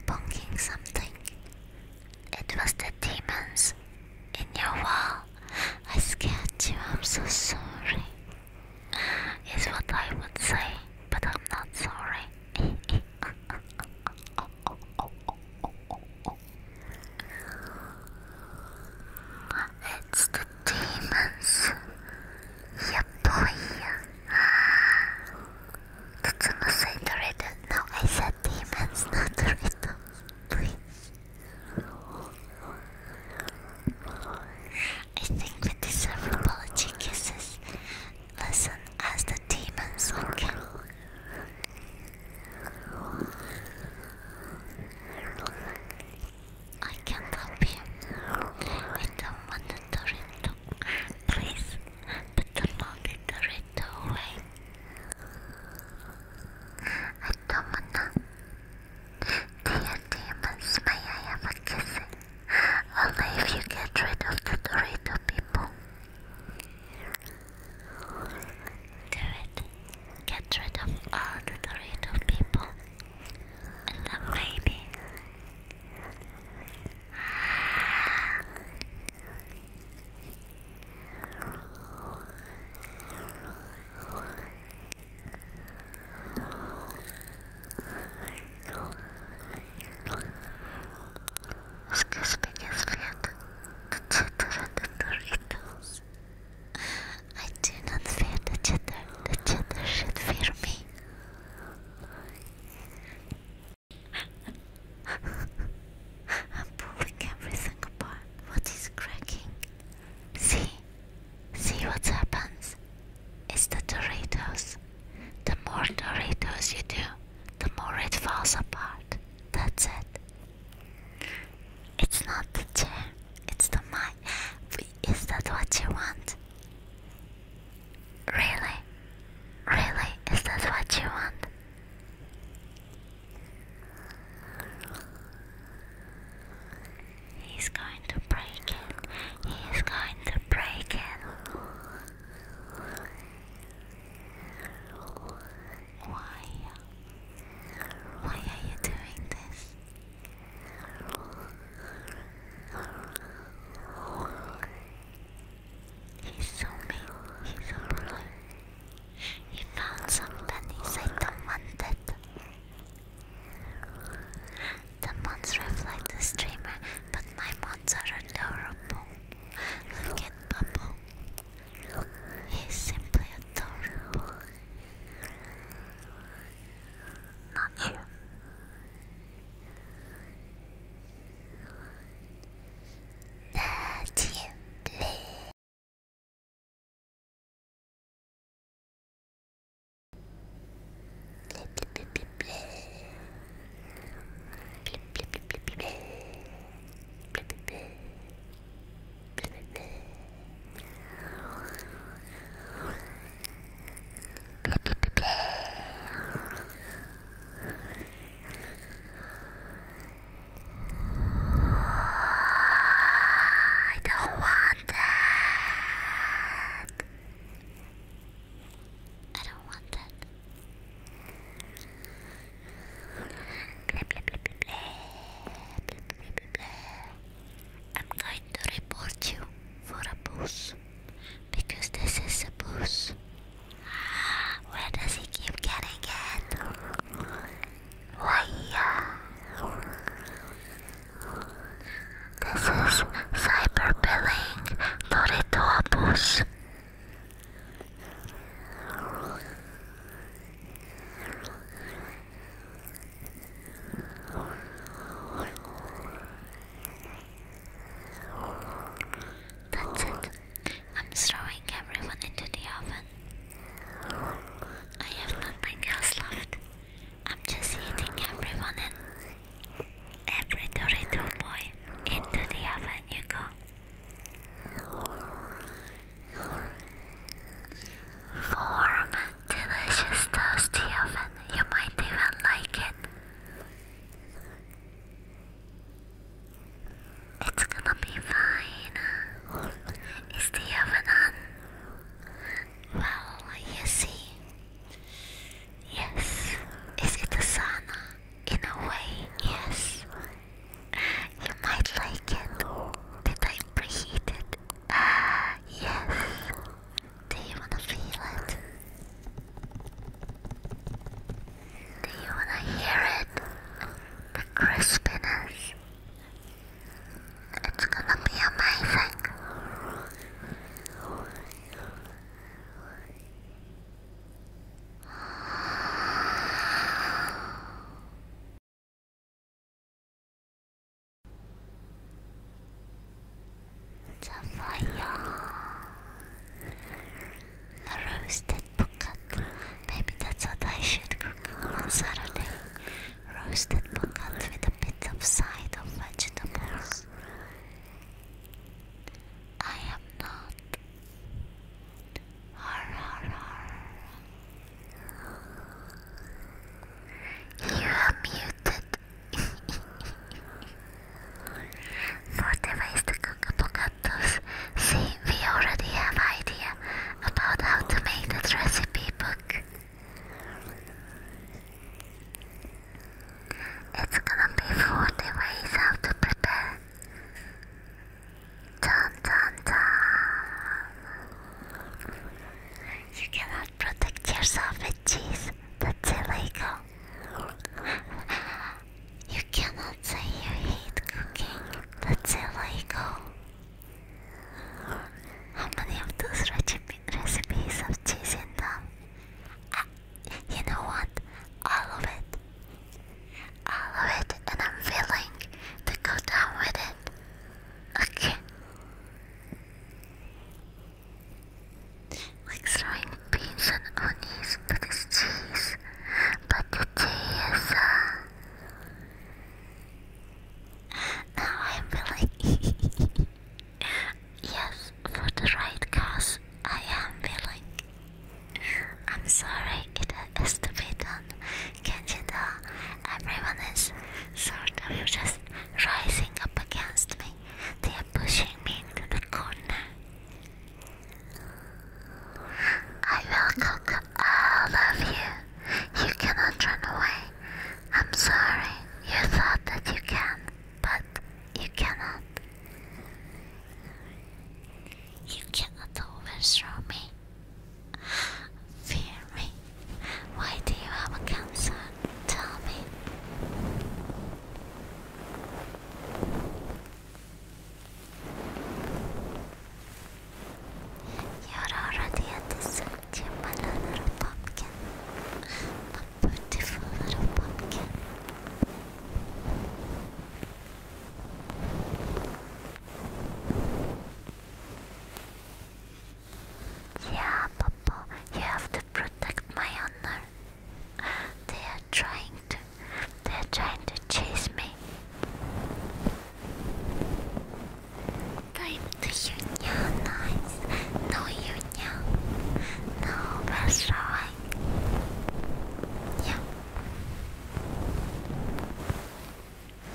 [SPEAKER 1] something. It was the demons in your wall. I scared you, I'm so sorry. Is what I would say, but I'm not sorry. It's the demons. Yeah, boy. Did say the riddle? No, I said demons, not the riddle. Please. I think we deserve apology kisses. Listen, as the the demons looking. I can help you. I don't want the turret to please, but the turret to away. I don't wanna. Dear demons, may I have a kiss? Only if you get rid of the Dorito people. Do it. Get rid of all the Dorito people. And the baby. Скажите, если это читер, это Doritos. I do not fear the cheddar. The cheddar should fear me. I'm pulling everything apart. What is cracking? See? See what happens? It's the Doritos. The more Doritos you do, the more it falls apart. That's it. It's not the chair, it's the mind. Is that what you want? Really? Really? Is that what you want? He's going to break it. He's going to break it. Why? Why are you doing this? He's so mean. He's a brother. He found some pennies I do The months reflect the streamer, but my months are adorable. Look at Bubble. He's simply adorable. Not you. Not you, please. I don't want that. I don't want that. Blah, I'm going to report you for abuse because this is abuse. Where does he keep getting it? Why? This is cyberbullying, not into abuse. That's it. I'm throwing everyone into the oven. I have nothing else left. I'm just eating everyone and Every little boy into the oven you go. Warm, delicious toasty oven. You might even like it. It's gonna be fine. Is the oven on? Well, you see. Yes. Is it the sauna? In a way, yes. You might like it. that I preheat it? Ah, yes. Do you wanna feel it? Do you wanna hear it? The crispiness. It's gonna be amazing. The fire, the roasted Maybe that's what I should cook on Saturday. Roasted bucket with a bit of side of vegetables. I am not you are muted. For the ways to cook avocados, see, we already have idea about how to make that recipe book. It's gonna be for the ways how to prepare. John, You cannot protect yourself with cheese. That's illegal. You cannot say you hate cooking. That's illegal. How many of those recipes have cheese in them? Ah, you know what? All of it. I love it and I'm willing to go down with it. Okay. Like throwing beans and onions to this cheese. But the tea is uh now I'm feeling Yes, for the right cause I am feeling I'm sorry, it has to be done. Can't you tell? Everyone is sort of just rising up against me. They are pushing me into the corner. I will cook all love you. You cannot run away. I'm sorry, you thought that you can, but you cannot. You cannot overthrow me. Fear me. Why do you have a cancer? Tell me. You're already at the center, my little pumpkin. My beautiful little pumpkin. Yeah, Papa, you have to protect my honor. They are trying to. They are trying to chase me. Time to unionize. No union. No, that's right. Yeah.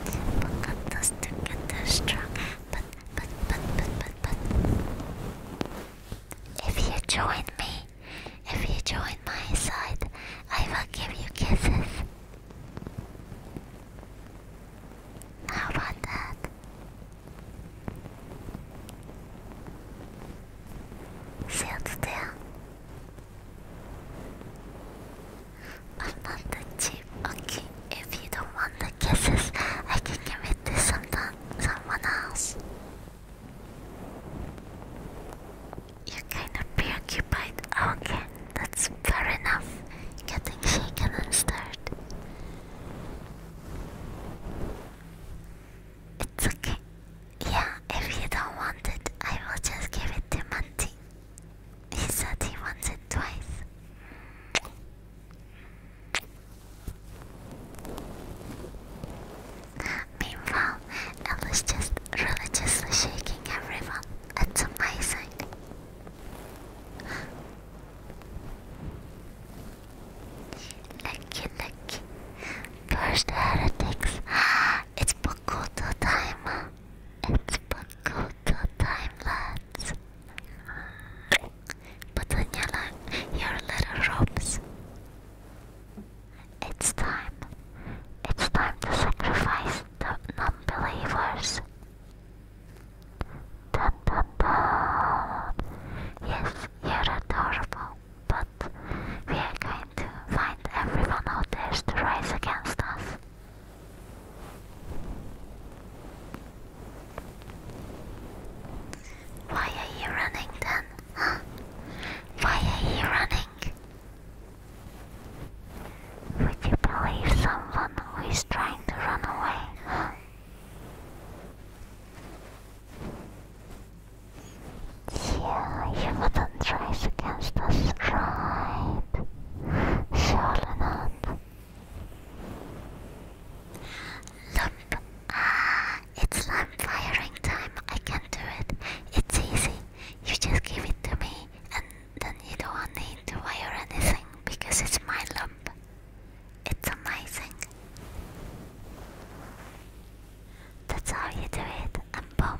[SPEAKER 1] But got to get strong. But, but, but, but, but, but. If you join me, if you join my side, I will give you kisses. How about that? Sit still. I'm not that cheap. Okay, if you don't want the kisses, I can give it to sometime, someone else. You're kind of preoccupied. Okay, that's fair enough. Getting shaken and stirred. It's okay. Yeah, if you don't want it, I will just give it to Monty. He said he wants it twice. Meanwhile, Ella's just religiously shaking everyone. It's amazing. Lucky, lucky. First heretics. It's Bokuto time. It's Pagoda time, lads. Put on your, your little robes. It's time. It's time to sacrifice the non believers. Dun, dun, dun. Yes, you're adorable, but we are going to find everyone out there to rise against us. Why are you running then? Huh? Why are you running? Would you believe someone who is trying to run away? Huh? Yeah, you wouldn't rise against us, right? Surely uh, not. Look, ah, it's lamp firing time. I can do it. It's easy. You just give it to me, and then you don't need to wire anything because it's my lump. It's amazing. That's how you do it. I'm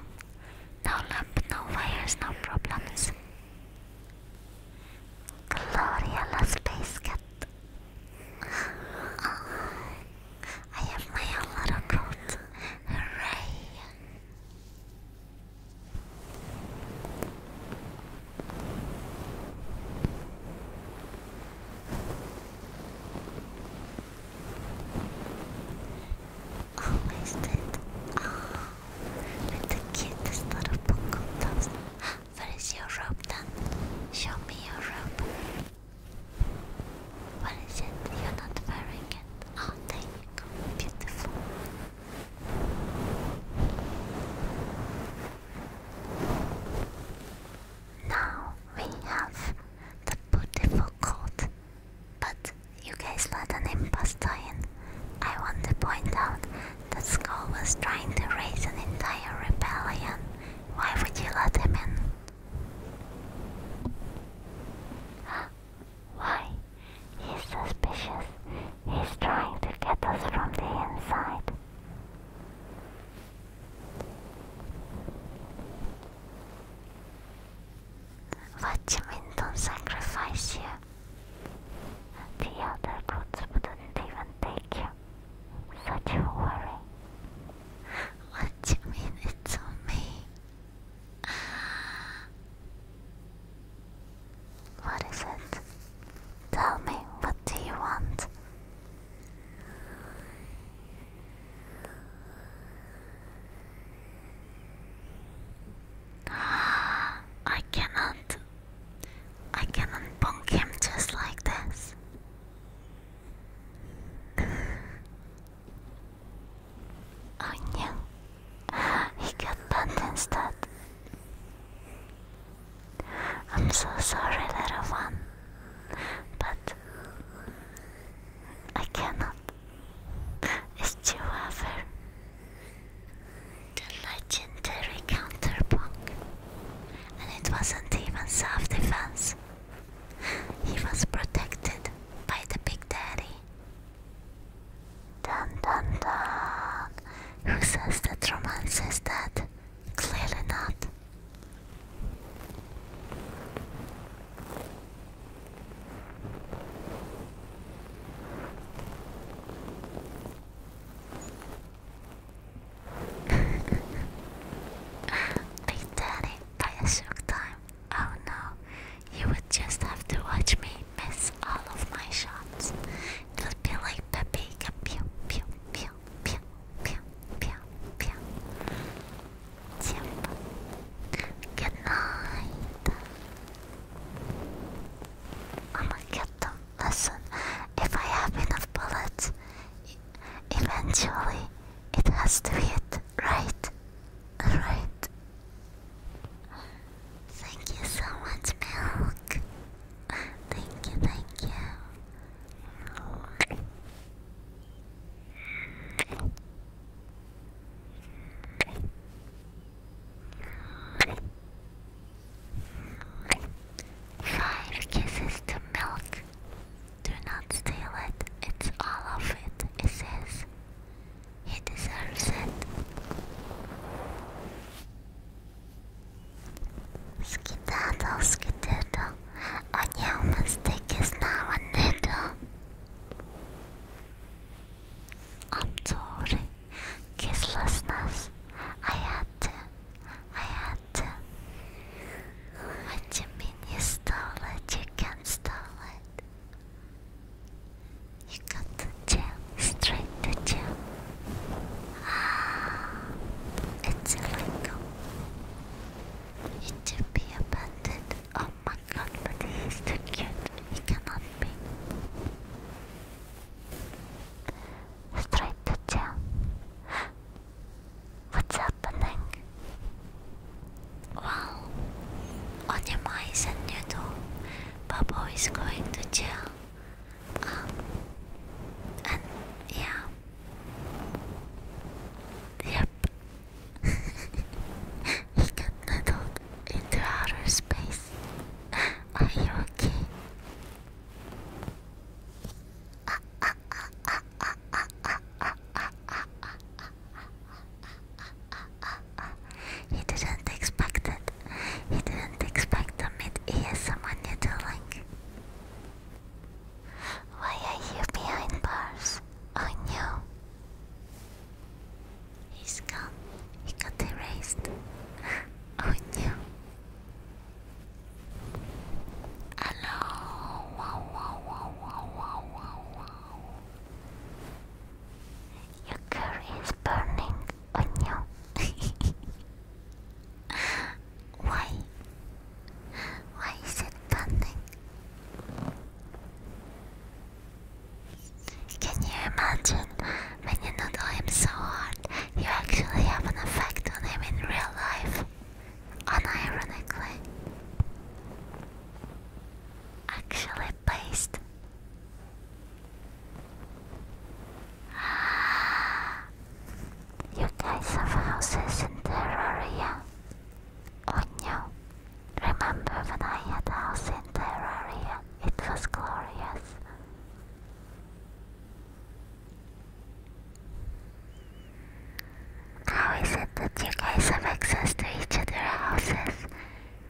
[SPEAKER 1] no lamp, no wires, no problems. Gloria space cat. I have my own coat. Hooray! Oh, wasted. That's the cutest little Pokemon's. Where is your robe then? Show me your robe. What is it? You're not wearing it. Oh, there you Beautiful. Now we have the beautiful coat but you guys let an imposter in. I want to point out that Skull was trying to raise an entire rebellion. Why would you let him in? Why? He's suspicious. He's trying to get us from the inside. What do you mean don't sacrifice you? The other gods wouldn't even take you. Such a worry. What you mean it's on me? What is it? Tell me, what do you want? I cannot. I cannot bonk him just like this. oh no. He got banned instead. I'm so sorry, little one. But I cannot is Chihuahua, the legendary counterpunk, and it wasn't even self defense. He was protected by the Big Daddy. Dun dun dun! Who says that romance is dead? Clearly not. I did it by a shook time. Oh no, you would just have to watch me miss all of my shots. It would be like Pepega pew pew pew pew pew pew pew. Yep. Good I'ma get them. Listen, if I have enough bullets, eventually it has to hit, right? Right. Thank you so much, Milk. Thank you, thank you. Five kisses to milk. Do not steal it. It's all of it. It says he deserves it. Skidaddle, skedaddle. On your stick is now a needle. I'm sorry. Kisslessness. I had to. I had to. What do you mean you stole it? You can't stole it. You got to jail. Straight to jail. Ah, it's illegal. You should be abandoned. Oh my Akatsuki too cute. He cannot be. Straight to jail. What's happening? Wow. Onima is a noodle. Babo is going to jail. Um, and yeah. Yep. he got noodled into outer space. Are you okay? He didn't expect it. He didn't expect to meet someone you're doing. Why are you behind bars? Oh no. He's gone. He got erased. oh Hello. Wow, wow, wow, wow, wow, wow, Your curry is burning. Oh Why? Why is it burning? Can you imagine when you noodle him so hard, you actually have an effect on him in real life? Unironically. Actually based. you guys have houses in Terraria. Oh no. Remember when I had a house in Terraria? It was glorious. How is it that you guys have access to each other's houses?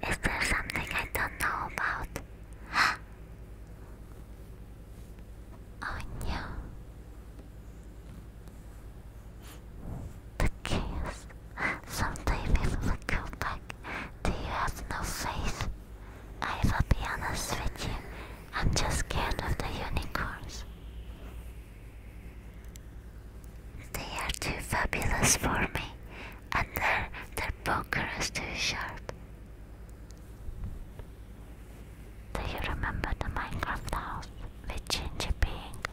[SPEAKER 1] Is there something I don't know about? oh no. The chaos. Someday we will go back do you have no faith? I will be honest with you. I'm just scared of the unicorns. They are too fabulous for me, and their, their poker is too sharp. Do you remember the Minecraft house with Ginger being?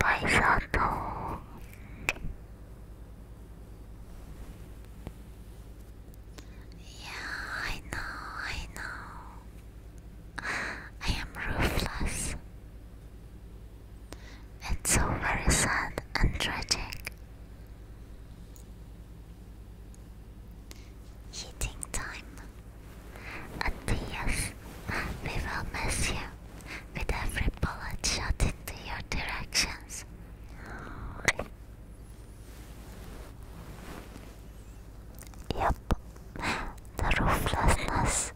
[SPEAKER 1] vai chato. Yeah, I know, I know. I am ruthless. It's so very sad and tragic. Heating time. Adios. We will miss you with every bullet shot into your directions. Yep, the rooflessness.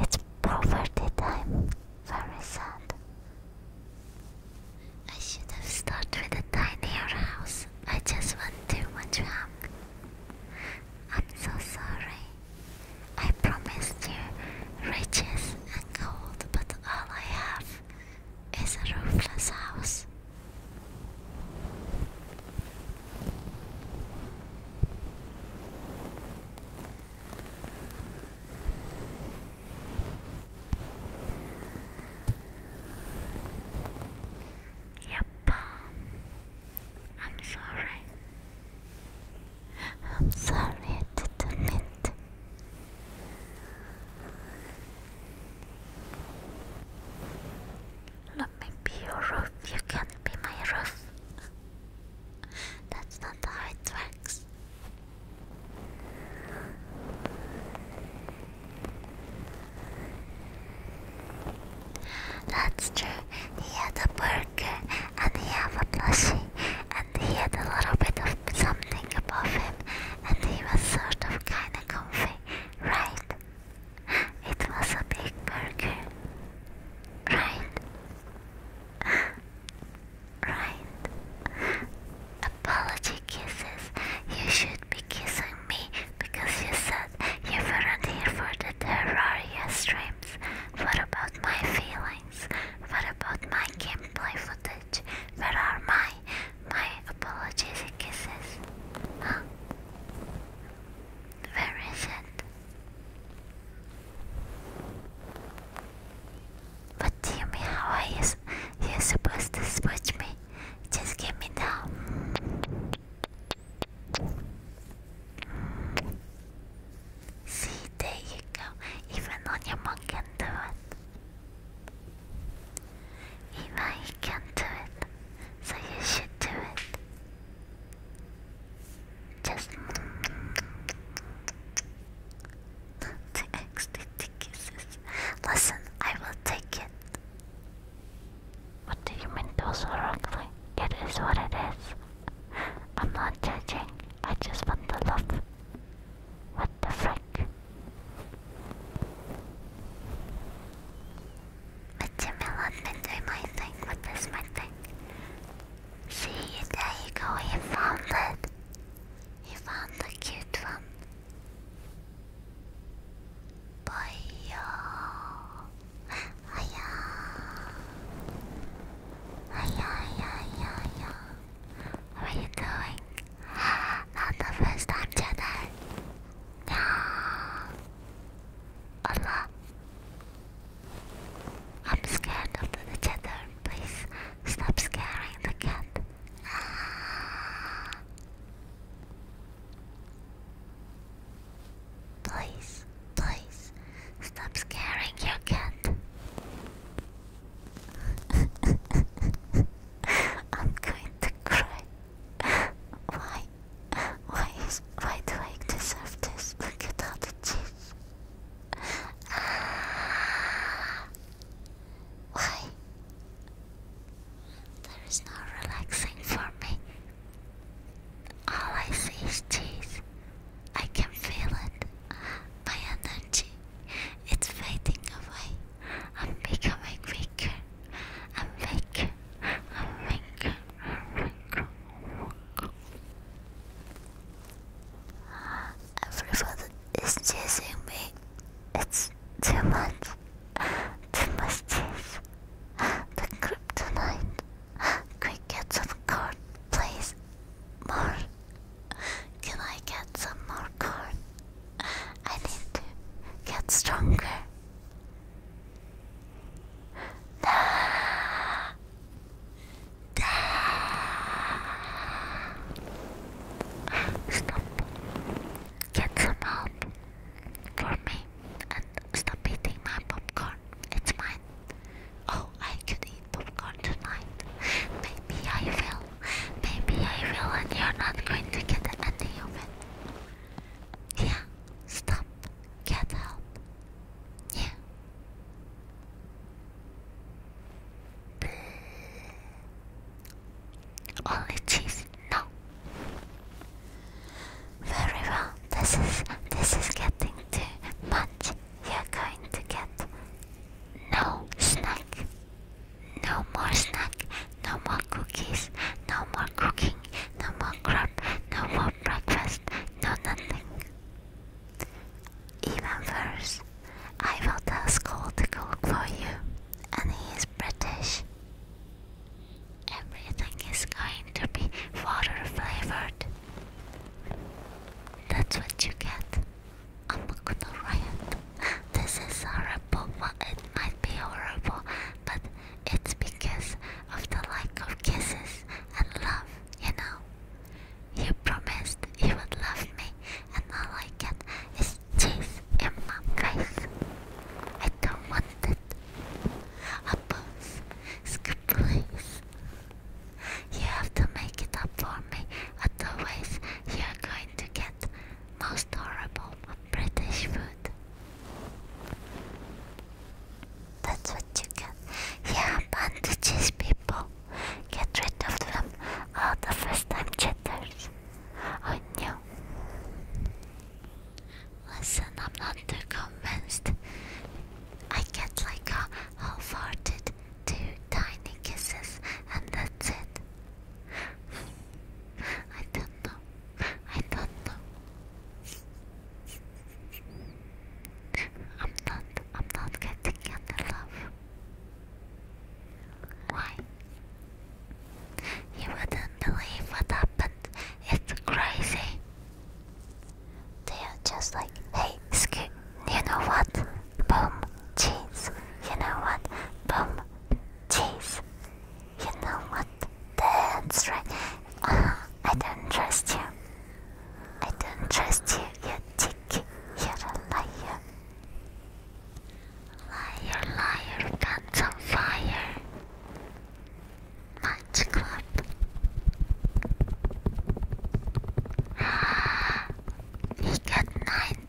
[SPEAKER 1] It's poverty time. Very sad. I should have started with a tinier house. I just want too much wrong. I'm so sorry. I promised you riches and gold, but all I have is a roofless house. Yep. I'm sorry. I'm sorry I didn't mean Let me be your roof. You can't be my roof. That's not how it works. That's true. He had a burger and he had a plushie and he had a little bit of something above him and he was sort of kinda comfy, right? It was a big burger. Right? right? Apology kisses. You should be kissing me because you said you weren't here for the Terraria streams. What about my feelings? What about my gameplay footage? Where are my my apologies kisses? Huh? Where is it? What me how I is. you're supposed to switch me just give me now see there you go even on your mom do it even he can do it so you should do it just the kisses. Listen, I will take it. What do you mean those are ugly? It is what it is. I'm not judging. I just want the love. What the frick? Milan been doing my thing with my thing. See, there you go, he found it. He found the cute one. Boyo. Hiya. Hiya, hiya, hiya, hiya. How are you doing? Not the first time, Jedi. Yeah. Allah. I'm scared of the cheddar. Please stop scaring the cat. Please, please, stop scaring your cat. I'm going to cry. Why? Why is why do I deserve this? Look at all the cheese. Ah. Why? There is no relaxing for me. All I see is teeth. I can feel it. My energy. It's fading away. I'm becoming weaker. I'm weaker. I'm weaker. I'm weaker. Everybody is chasing me. It's too much. Too much cheese. The kryptonite. Quick, get some corn, please. More. Can I get some more corn? I need to get stronger. Da, da. Stop. Get some help for me and stop eating my popcorn. It's mine. Oh, I could eat popcorn tonight. Maybe I will. Maybe I will, and you're not going to get any of it. Yeah, stop. Get help. Yeah. Only cheese? No. Very well. This is this is getting too much. You're going to get no snack. No more snack. No more cookies. No more cooking. No more crab. No more breakfast. No nothing. Even worse, I will tell Skull to cook for you, and he is British. Everything is going to be water flavored. That's what you get. I'm not gonna riot. This is horrible. it might be horrible, but it's because of the lack of kisses and love, you know. You promised you would love me, and all I get is cheese in my face. I don't want it. A bus, skip please. You have to make it up for me, otherwise you are going to get most horrible British food. That's what you get. Yeah, bandages, people. Get rid of them. All the first time cheaters. I 안녕. Listen, I'm not convinced. I get like a half-hearted two tiny kisses and that's it. I don't know. I don't know. I'm not I'm not getting any love. Why? You wouldn't believe what happened. It's crazy. They are just like, hey, Scoot, you know what? Boom, cheese. You know what? Boom, cheese. You know what? That's right. Uh-huh. I don't trust you. I don't trust you, you dick. You're a liar. Liar, liar, guns on fire. Match club. he got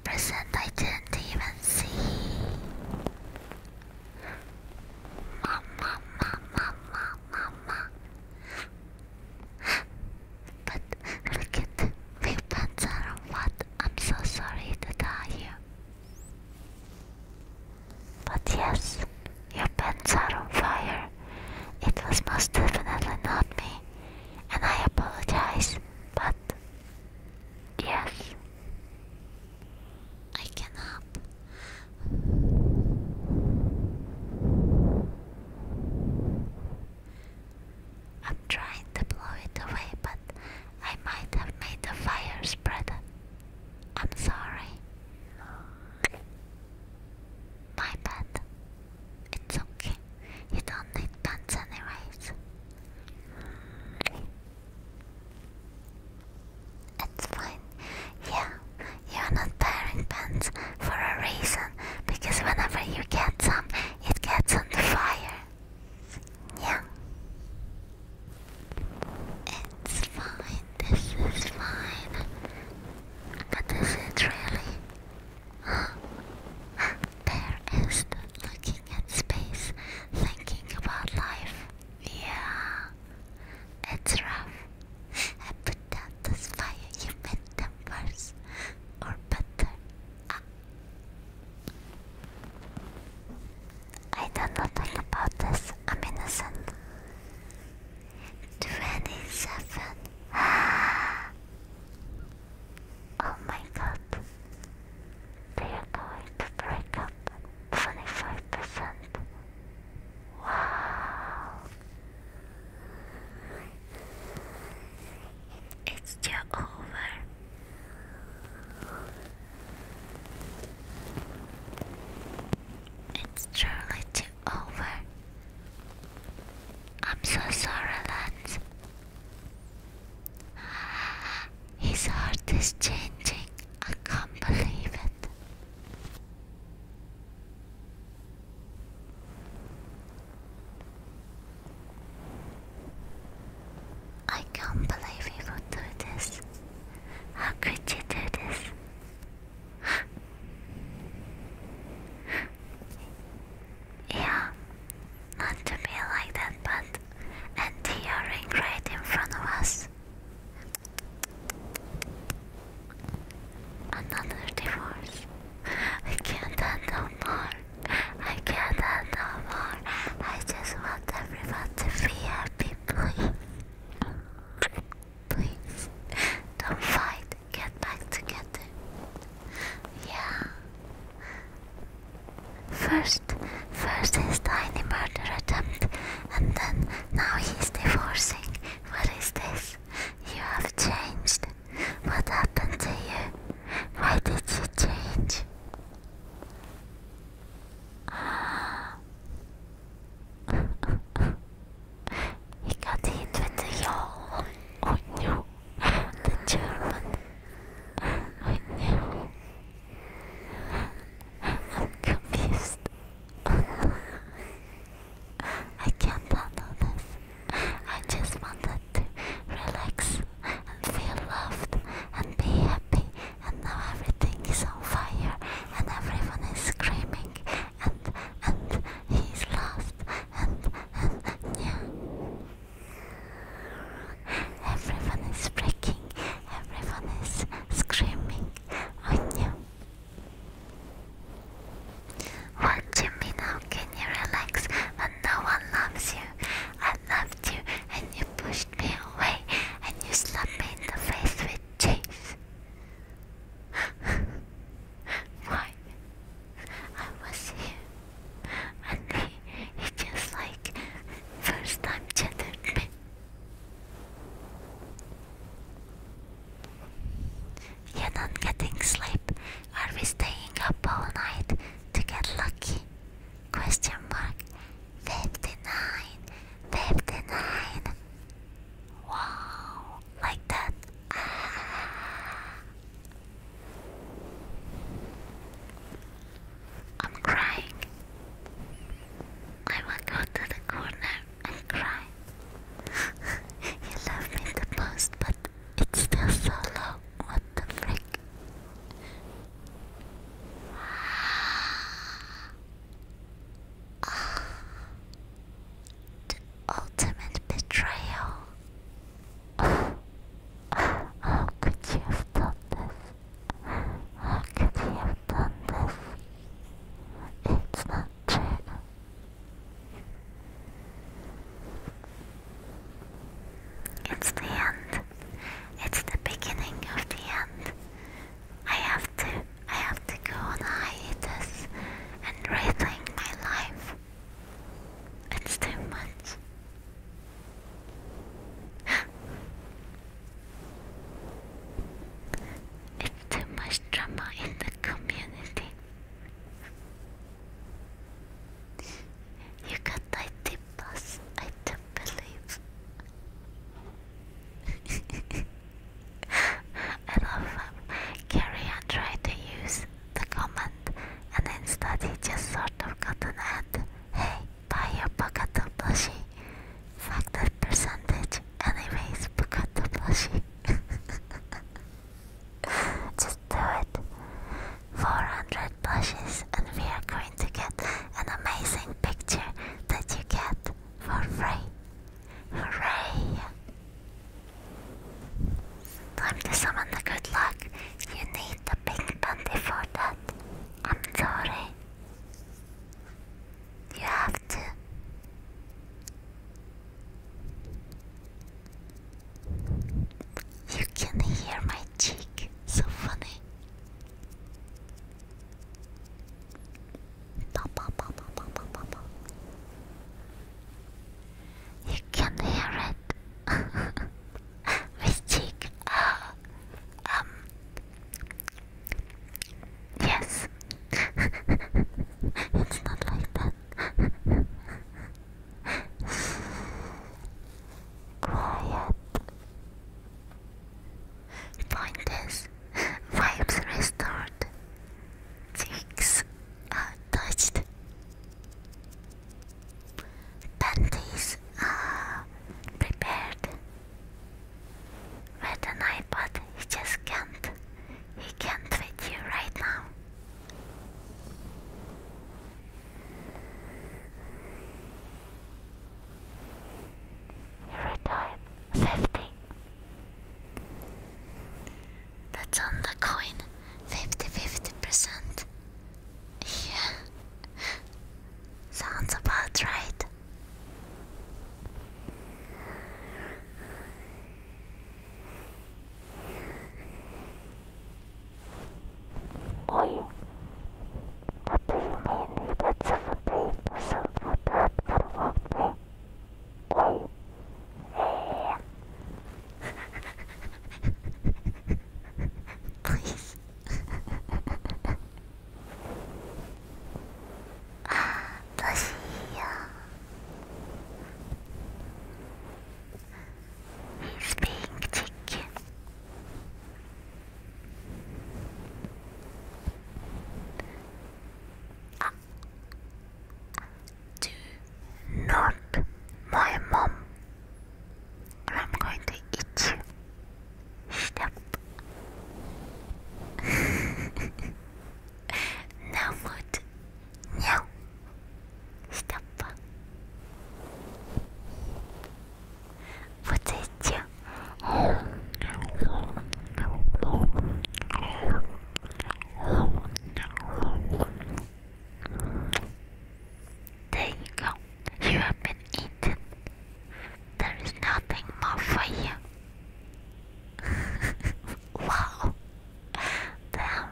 [SPEAKER 1] 9%, I didn't even see. Mama, mama, mama, mama. But look at the weapons on what? I'm so sorry to tell you. But yes, your pants are on fire. It was most definitely not me, and I apologize, but yes, I cannot. I'm trying to blow it away, but I might have made the fire spread. I'm sorry. My bad. It's okay. You don't need pants anyways. It's fine. Yeah, you're not wearing pants for a reason. Because whenever you get some, it gets on the fire. Yeah. It's fine, this is fine. But this is really. there is looking at space, thinking about life. Yeah. It's rough. I put out this fire, you made them worse. Or better. I don't know nothing about this. I'm innocent. Twenty-seven. oh my god. They are going to break up. Twenty-five percent. Wow. It's still over. It's surely too over. I'm so sorry, Lance. His heart is changing. I can't believe it. I can't believe you would do this. How could you do this? yeah, not to be like that, but and your right in front of us. Another divorce. We can't handle more. I cannot no more. I just want everyone to be happy, please. Please, don't fight. Get back together. Yeah. First, first his tiny murder attempt, and then now he's divorcing. What is this? You have changed. What happened to you? Why did you change? he got hit with the yaw. the German. Oh no, I'm confused. I can't handle this. I just wanted to relax and feel loved and be happy and now everything is on fire and everyone is screaming and and he's lost and and yeah everyone is breaking everyone is screaming on you what do you mean how can you relax when no one loves you I loved you and you pushed me away and you slapped me in the face with cheese. Why? I was here and he, he just like first time chattered You're not getting sleep. Are we staying up all night to get lucky? Question mark. 59. 59. Wow. Like that. I'm crying. I will go the corner and cry. you love me the most, but it's still so low. What the frick? The ultimate betrayal. How could you have done this? How could you have done this? It's not true. It's the end. It's the beginning of the end. I have to I have to go on a hiatus and rethink my life. It's too much. it's too much drama in the community. You got IT plus, IT I love him. Um, Carrie tried to use the comment, and instead he just sort of got an ad. Hey, buy your Bokato plushie. Fuck that percentage. Anyways, Bokato plushie. just do it. 400 plushies and we are going to get an amazing picture that you get for free. Hooray! Time to summon the good luck. You need the pink bundy for that. I'm sorry. You have to. You can hear my cheek, so funny. You can hear it. Mystique. Uh, um. Yes. it's not like that. Quiet. Find this. Vibes restored. Cheeks untouched. Panties are prepared. Read an iPod, he just can't. He can't with you right now. Every time, 50. That's on the coin. 50 percent Yeah. Sounds about right. Oi. What do you mean you get somebody to support that for walking? Please. ah, does he, He's being chicken. Do not, my mom. I'm going to eat Stop. no food. No. Stop вот эти there you go you have been eaten there is nothing more for you wow damn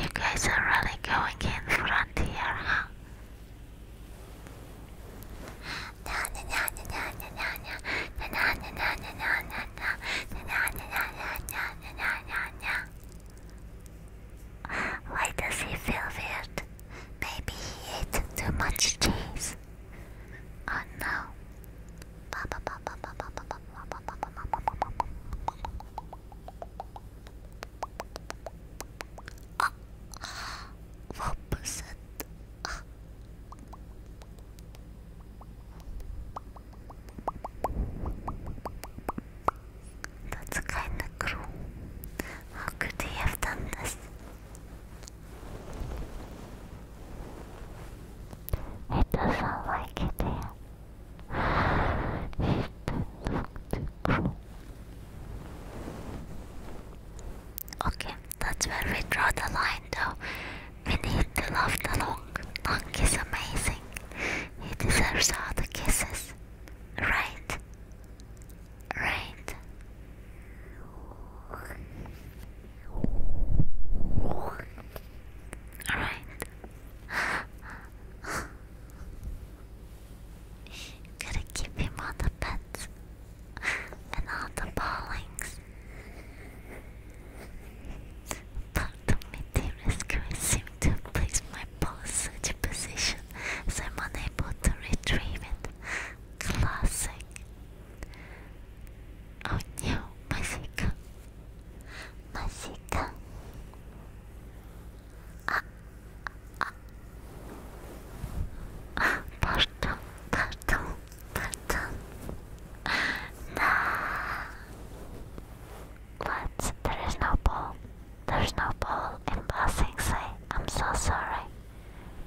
[SPEAKER 1] you guys are really going in front here huh why does he feel weird? Maybe he ate too much cheese. Oh no. What one percent. Ah. That's kind of cruel. How could he have done this? It doesn't like it there. It looked Okay, that's where we draw the line though. We need to love the long. Long is amazing. He deserves all the kisses. Right. Right. Alright. Gotta keep him on the beds and all the ballings. Pardon me, dearest Grace, seem to have my ball such a position as I'm unable to retrieve it. Classic. Oh no, Masika. Masika. Ah. Pardon, pardon, pardon. Nah. What? There is no ball. There's no ball in passing say. I'm so sorry.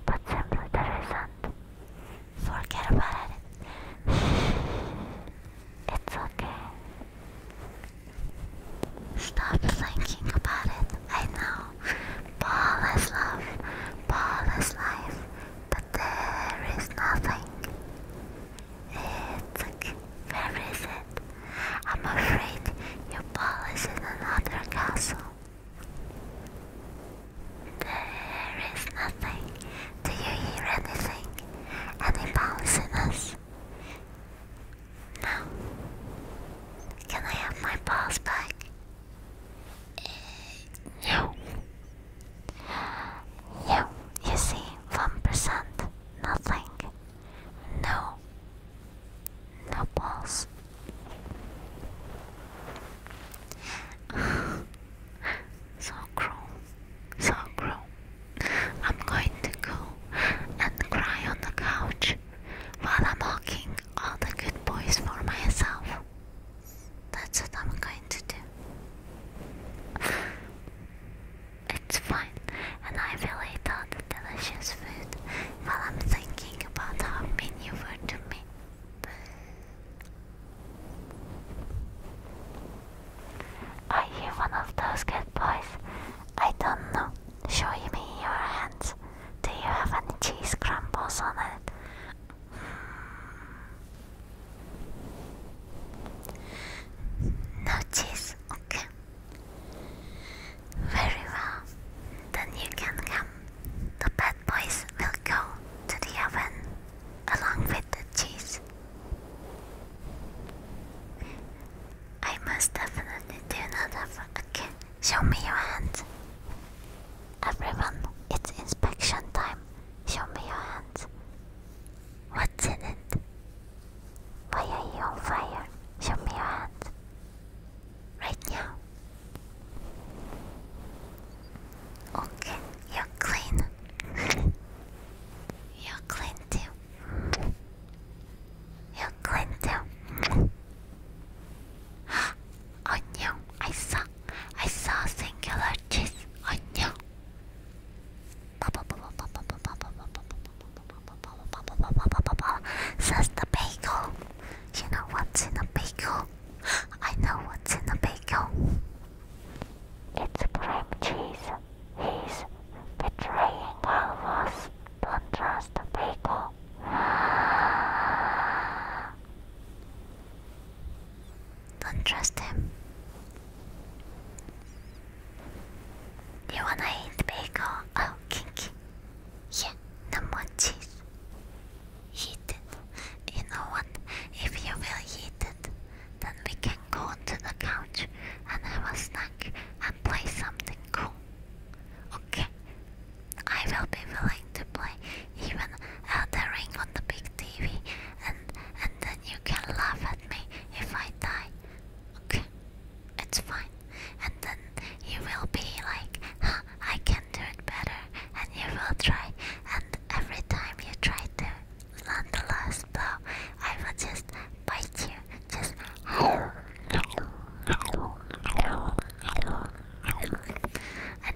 [SPEAKER 1] But simply there isn't. Forget about it. It's okay. Stop thinking about it. I know all. is love, Paul is life, but there is nothing. It's okay. Where is it? I'm afraid your ball is in another castle. There is nothing. Do you hear anything? Any us? No. Can I have my balls back? Uh, no. you see, 1%, nothing. No. No balls. so cruel. So cruel. I'm going to go and cry on the couch while I'm hawking all the good boys for myself. That's what I'm going to do. it's fine, and I will eat all the delicious food while I'm thinking about how mean you were to me. Are you one of those good boys? I don't know. Show me your hands. Do you have any cheese crumbles on it? Hmm. No cheese, okay. Very well. Then you can come. The bad boys will go to the oven along with the cheese. I must definitely do another have a Show me your hand. Everyone, it's inspection time. Show me your hand. What's in it? Why are you on fire? Show me your hand. Right now. Okay, you're clean. you're clean too. You're going to. I saw, I saw singular cheese. Onion. Says the bagel. You know what's in a bagel? I know what's in a bagel. It's cream cheese. He's betraying all of us. Don't trust the people. Don't trust him. You wanna eat the bagel? Oh, kinky. Yeah, no more cheese. Heat it. You know what? If you will heat it, then we can go onto the couch and have a snack and play something cool. Okay, I will be willing to play even Elden Ring on the big TV, and and then you can laugh at me if I die. Okay, it's fine. And then you will be like, huh, I can do it better, and you will try. And every time you try to land the last blow, I will just bite you, just. and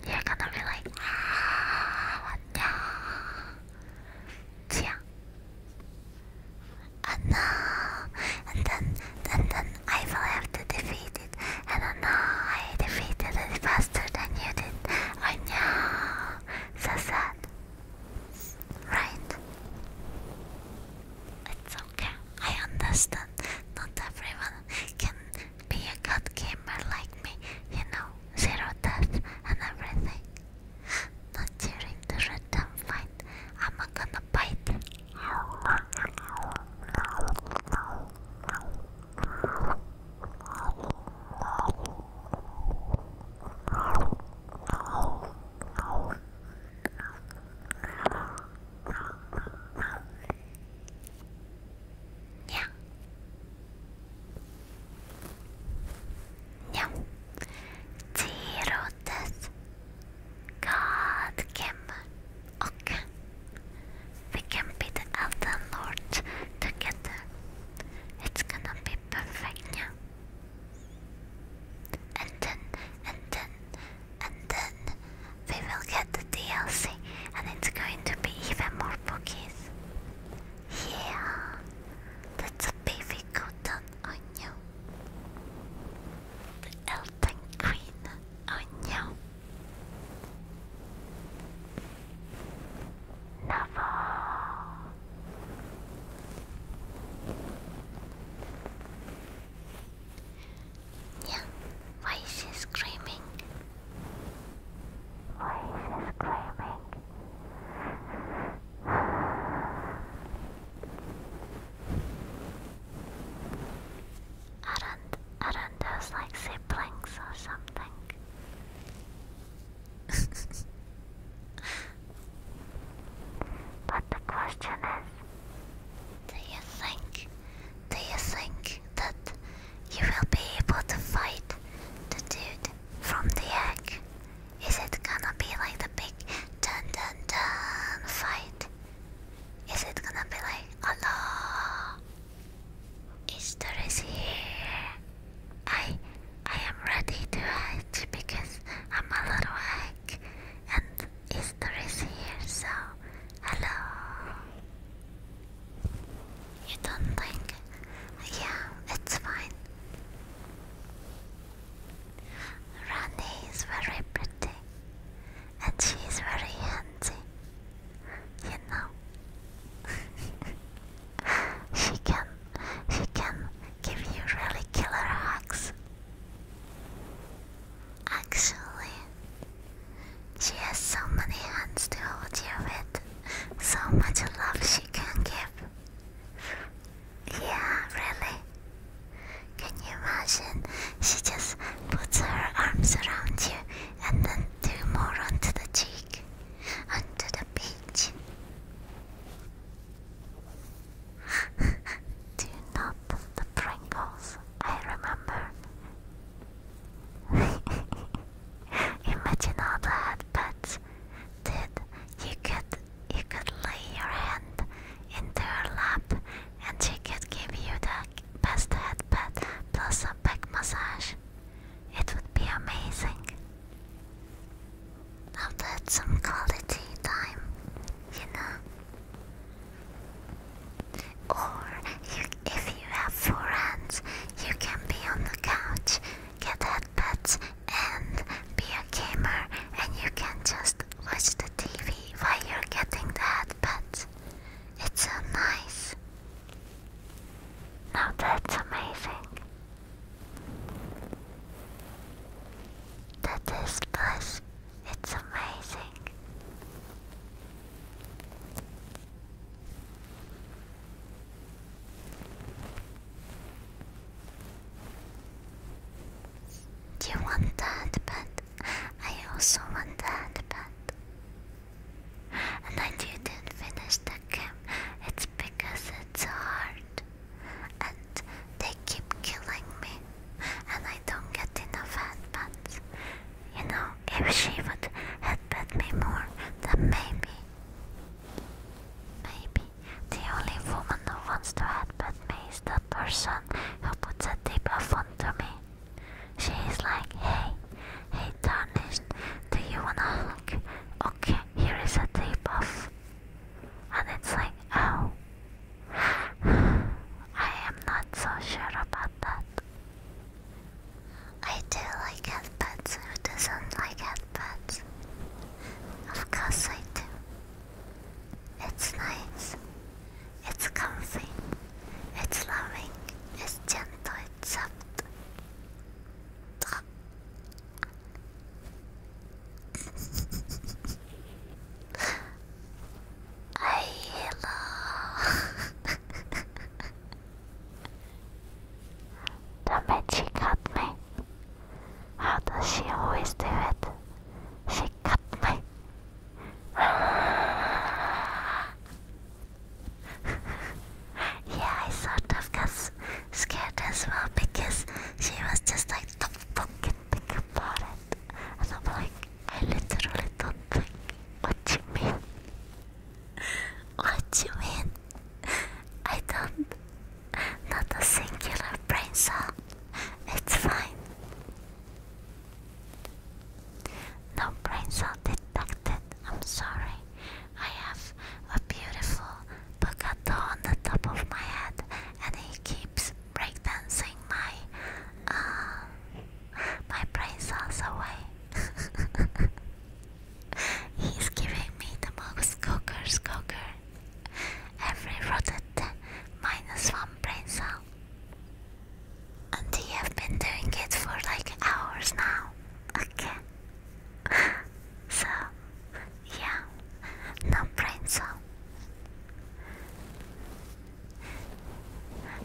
[SPEAKER 1] you're gonna be like, ah, yeah. And oh, no, and then, then, then I will have to defeat it. And then, I defeated it faster than you did. I know, so sad, right? It's okay. I understand. Not everyone can be a good gamer like me, you know, zero death and everything. Not during the random fight, I'm not gonna bite. Yeah. Yeah. Tirotes God came och we can beat the other Lord together. It's gonna be perfect, yeah. And then, and then, and then we will get the DLC, and it's going to be even more bookies. Yeah, that's a baby cotton on you. The Elton Queen on you. Never. Yeah, why is she screaming? Why is she screaming? Aren't, aren't those like siblings or something? but the question is do you think? Do you think that you will be able to fight the dude from the egg? Is it gonna be like the big dun dun dun fight? Is it gonna be like Allah? Easter is here. I I am ready to hatch because I'm a little egg and Easter is here, so hello. You don't think? Yeah, it's fine. Rani is very pretty, and she is very handy. You know, she can, she can give you really killer hugs. Actually, she has so many hands to hold you with, so much love she can give. Yeah, really. Can you imagine? She just puts her arms around you and then two more onto the cheek, onto the peach. Do not the Pringles, I remember. Imagine all the headpats. Dude, you could you could lay your hand into her lap and she could give you the best head pat plus a back massage. It would be amazing. Now some quality time, you know. Or if you have four hands, you can be on the couch, get headpets, and be a gamer, and you can just watch the TV while you're getting the headpets. It's so nice. Now that's amazing. That is bliss. It's amazing. You want that, but I also want that, but. And I didn't finish the game. It's because it's hard. And they keep killing me. And I don't get enough headbands. You know, if she would had bet me more, then maybe, maybe the only woman who wants to headbutt me is that person who puts a debuff to me. She is like, hey, hey Tarnished, do you wanna hug? Okay, here is a debuff. And it's like, oh, I am not so sure about that. I do like headpats. Who doesn't like headpats? Of course I do. It's nice. It's comfy. It's loving. It's gentle. It's soft. hello. the magic cut me. How does she always do it? She cut me. yeah, I sort of got scared as well because she was just like, don't fucking think about it. And I'm like, I literally don't think what you mean. What do you mean? I don't. Not a singular brain It's fine. No brain detected. I'm sorry. I have a beautiful Bogato on the top of my head, and he keeps breakdancing my uh, my brain cells away. He's giving me the most cocker cocker. Every rotate minus one brain cell. And you have been doing it for like hours now. Okay. So, yeah, no brain cell.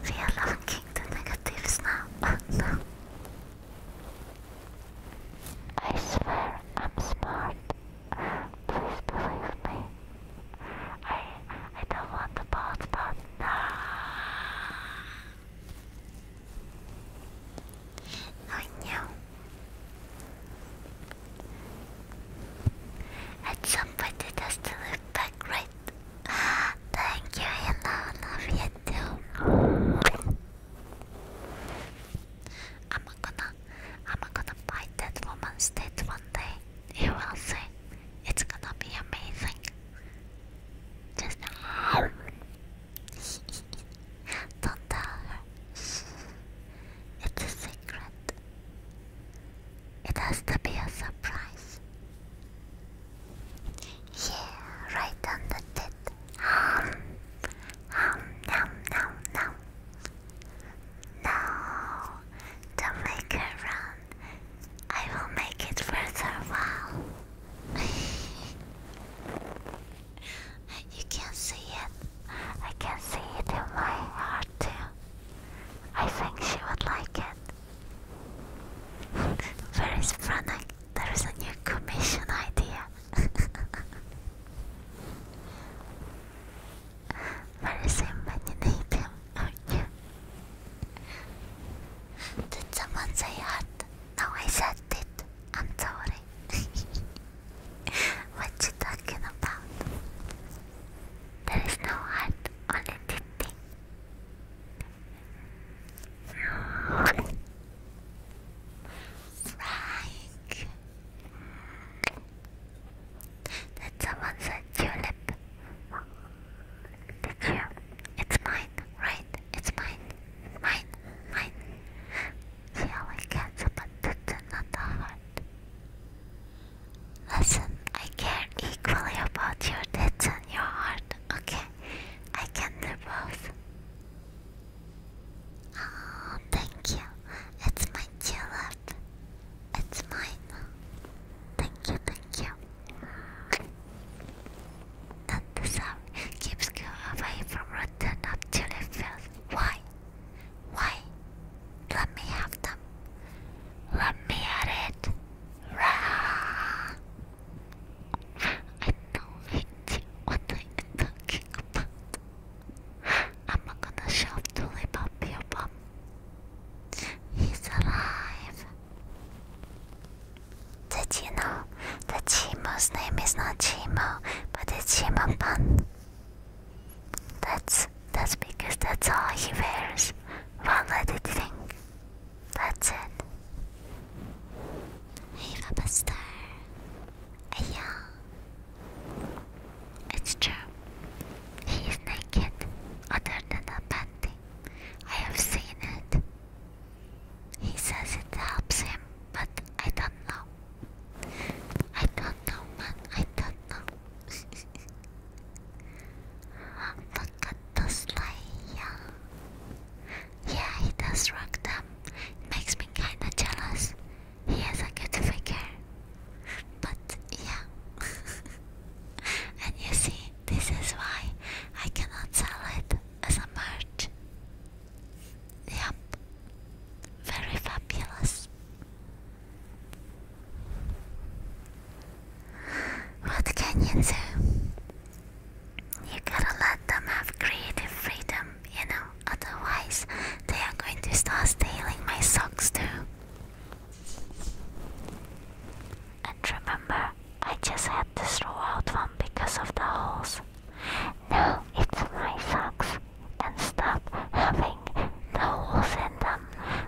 [SPEAKER 1] We are locking the negatives now. I swear I'm smart. Please believe me. I I don't want the bots, but no. I knew. And somebody has to live back right Thank you, Hina. Love you too. I'm gonna, I'm gonna fight that woman's death one day. You will see. It's gonna be amazing. Just don't tell her. It's a secret. It has to be a surprise. Yeah, right on the tip. Um, um, nom, nom, nom. No, don't make her I will make it further. you can see it. I can see it in my heart too. I think she would like it. Where is Frank? There is a new commission idea. Where is him when you need him? Oh, yeah. Did someone say hot? No, I said it. I'm sorry. what you talking about? There is no heart, on it. Frank. Did someone said tulip? Did you? It's mine, right? It's mine, mine, mine. She always gets a petition, not a heart. Listen, I care equally about your tits and your heart, okay? I can do both. Oh, thank you. It's my tulip. It's mine. Thank you, thank you. That the keeps you away from rotten up fields. Why? Why? Let me have them. Let me at it. I know it. What are you talking about? I'm not gonna shove Tulip up baby, bum. He's alive. Did you know that Chimo's name is not Chimo, but it's Chimo Pan? That's that's because that's all he wears. One-legged thing. That's it. Hey, a Star. Yeah. It's true. He's naked, other than a panty. I have seen it. He says it helps him, but I don't know. I don't know, man. I don't know. Look at the sleigh. Yeah, he does rock them. It makes me kinda jealous. He has a good figure. But yeah. and you see, this is why I cannot sell it as a merch. Yep. Very fabulous. What can you do? You gotta let them have creative freedom, you know, otherwise, they are going to start stealing my socks too. And remember, I just had to throw out one because of the holes. Now it's my socks, and stop having the holes in them.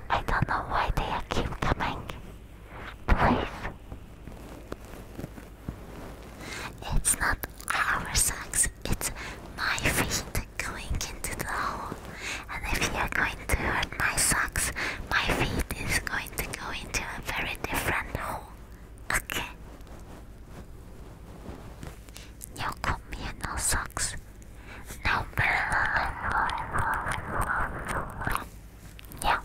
[SPEAKER 1] I don't know why they keep coming. Please. It's not our socks, it's my feet going into the hole. And if you're going to hurt my socks, my feet is going to go into a very different hole. Okay. No socks. No. Yeah.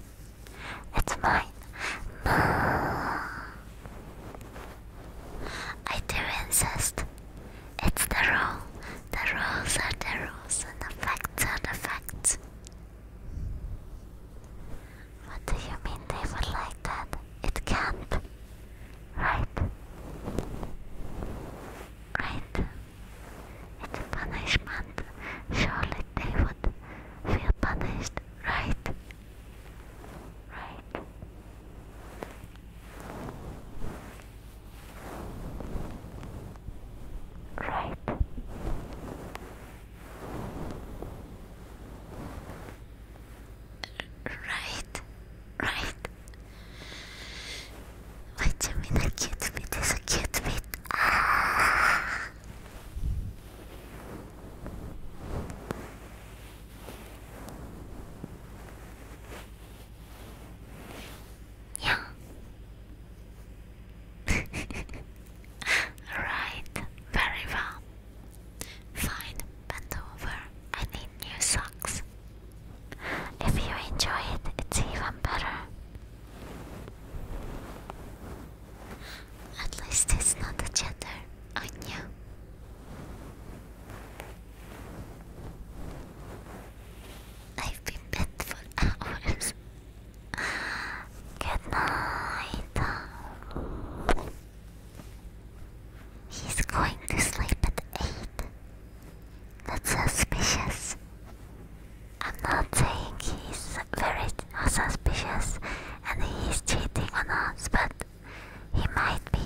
[SPEAKER 1] It's mine. No. I do insist. It's the rule. The rules are the rules and the facts are the facts. What do you mean they would like that? It can't. Right. Right. It's a punishment. Surely they would feel punished, right? Right. Right. Right. Right. Wait a minute, cute bit is a cute bit. Ah. Yeah. right, very well. Fine, bend over. I need new socks. If you enjoy it, it's even better. At least it's not a gender on I've been bed for hours. Good night. He's going to sleep at 8. That's suspicious. I'm not saying he's very suspicious and he's cheating on us, but he might be.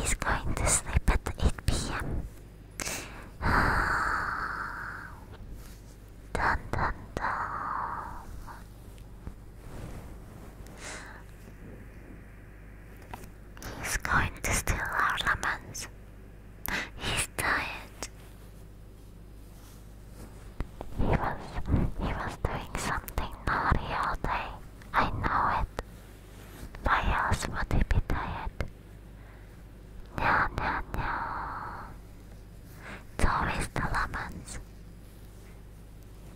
[SPEAKER 1] He's going to sleep at 8 pm. dun dun dun. He's going to steal our lemons. He's tired. He was he was doing something naughty all day. I know it. Why else would he be tired? Nya nya nya. It's always the lemons.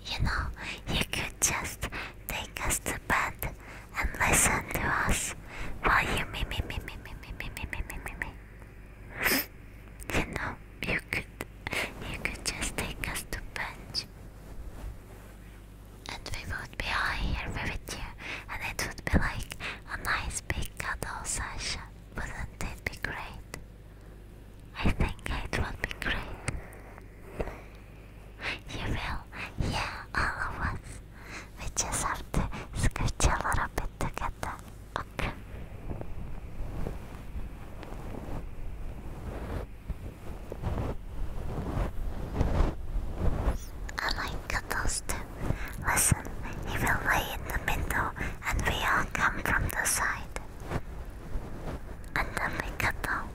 [SPEAKER 1] You know, you could just take us to bed and listen to us while you me me me me me me me me me me me you know, you could, you could just take us to bench, And we would be all here with you, and it would be like a nice big cuddle session. Wouldn't it be great? I think it would be great. You will, yeah, all of us. We just have to scooch a little bit together. I like cuddles too. Listen, he will lay in the middle and we all come from the side. And then we cuddle.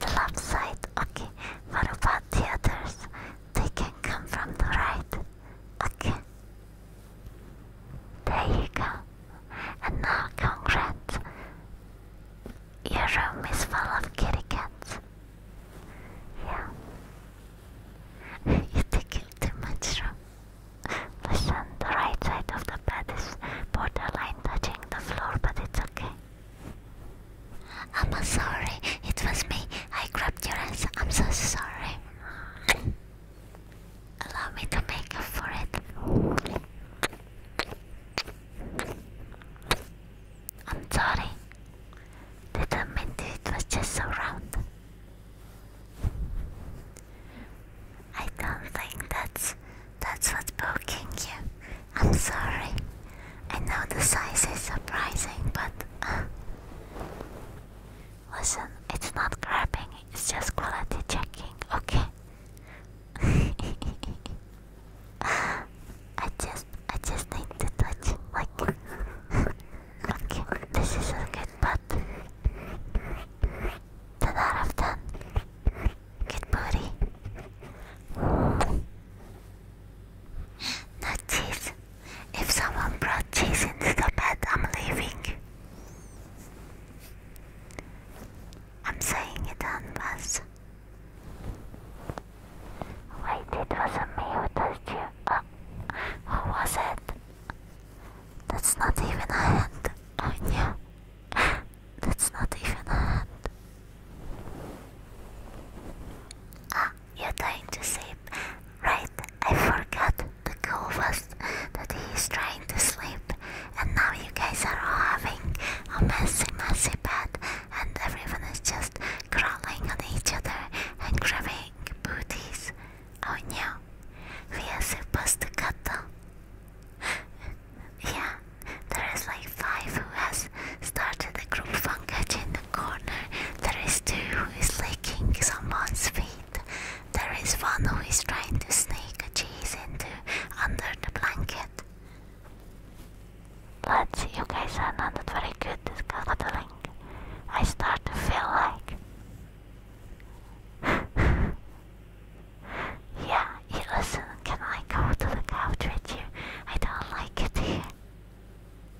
[SPEAKER 1] The left side, okay. What about the others? They can come from the right. Okay. There you go. And now, congrats. Your room is full of kitty cats. Yeah. you take up too much room. Listen, the right side of the bed is borderline touching the floor, but it's okay. I'm sorry, it was me. I grabbed your hands. I'm so sorry. Allow me to make up for it. I'm sorry. Didn't mean to, it was just so round. I don't think that's that's what's poking you. I'm sorry. I know the size is surprising, but uh, Listen, it's not grabbing, it's just quality checking, okay? I just I just need to touch like Okay, this is a good butt. Ten out of ten. Good booty. No cheese. If someone brought cheese into the bed, I'm leaving. I'm saying it on bus. Wait, it wasn't me who touched you. Oh, who was it? That's not even a hand on oh, you. That's not even a hand. Ah you're trying to sleep. Right, I forgot the goal was that he's trying to sleep, and now you guys are all having a messy, messy bed, and everyone is just crawling on each other and grabbing booties. Oh no, we are supposed to them. yeah, there is like five who has started the group function the corner there is two who is licking someone's feet. There is one who is trying to sneak a cheese into under the blanket. Let's see, you guys are not very good at cuddling. I start to feel like. yeah, you listen, can I go to the couch with you? I don't like it here.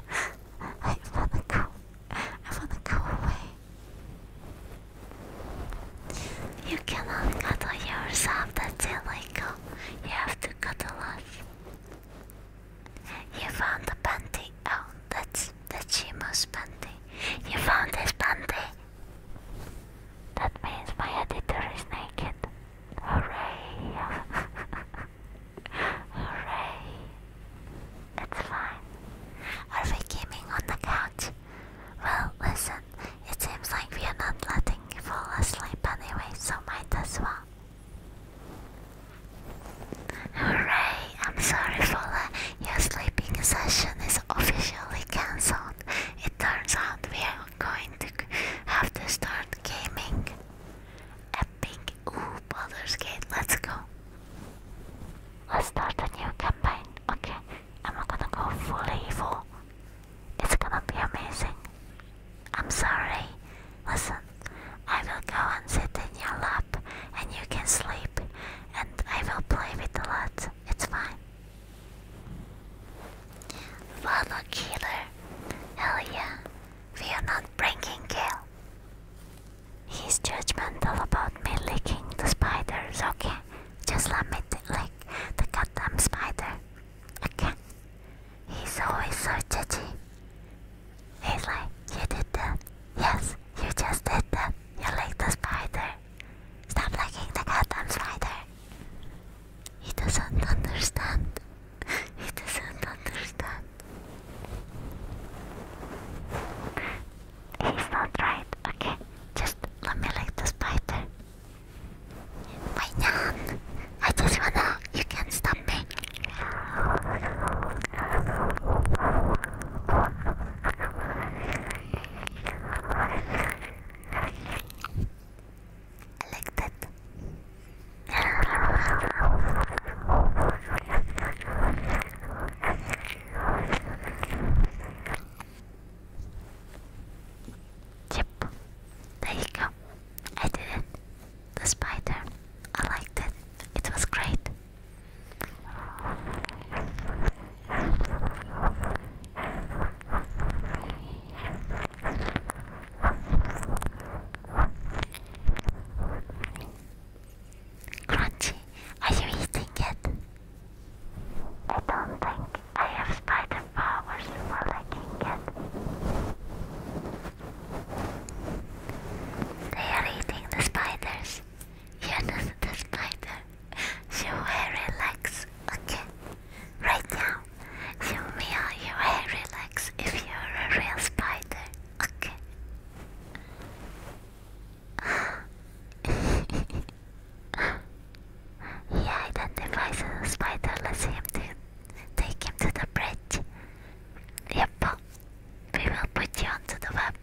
[SPEAKER 1] I wanna go. I wanna go away. You cannot cuddle yourself, that's illegal. You have to cuddle us. You found the panty. out. Oh, that's that's Shimo's panty. You found his panty. That means my editor is naked. Hooray! Hooray! It's fine. Are we gaming on the couch? Well, listen, it seems like we are not letting you fall asleep anyway, so might as well. Hooray! I'm sorry, Fola. Your sleeping session is officially cancelled. It turns out we are going to have to start gaming. Epic Oh, Baldur's Gate, let's go. Let's start a new campaign. Okay, I'm gonna go full evil. It's gonna be amazing. I'm sorry. Listen, I will go and sit in your lap and you can sleep and I will play with a lot. It's fine. Follow killer. Hell We are not breaking Gale. He's judgmental about me licking the spiders, okay? Just let me lick the goddamn spider, okay? He's always so judgy. He's like, you did that. Yes, you just did that. You licked the spider. Stop licking the goddamn spider. He doesn't understand. he doesn't understand. He's not right. Okay, just let me lick the spider. Wait, Nyan, I just wanna. You can't stop me. I liked it. Yep, there you go. I did it. The spider. I liked it. It was great. Crunchy, are you eating it? I don't think I have spider powers for licking it. They are eating the spiders. You're not the spider. You hairy legs, okay? Right now, you meow your hairy legs if you're a real spider, okay? he identifies the spider. Let's him to take him to the bridge. Yep, we will put you onto the web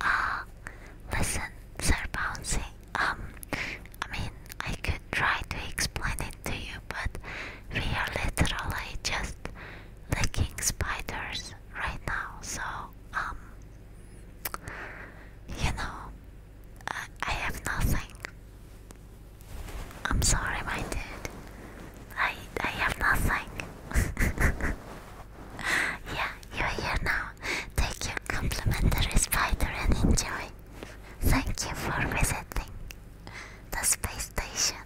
[SPEAKER 1] uh, listen, Sir Bouncy, um, I mean, I could try to explain it to you, but we are literally just licking spiders right now, so, um, you know, I, I have nothing. I'm sorry, my dude. I I have nothing. Yeah, you're here now. Take your complimentary spider and enjoy. Thank you for visiting the space station.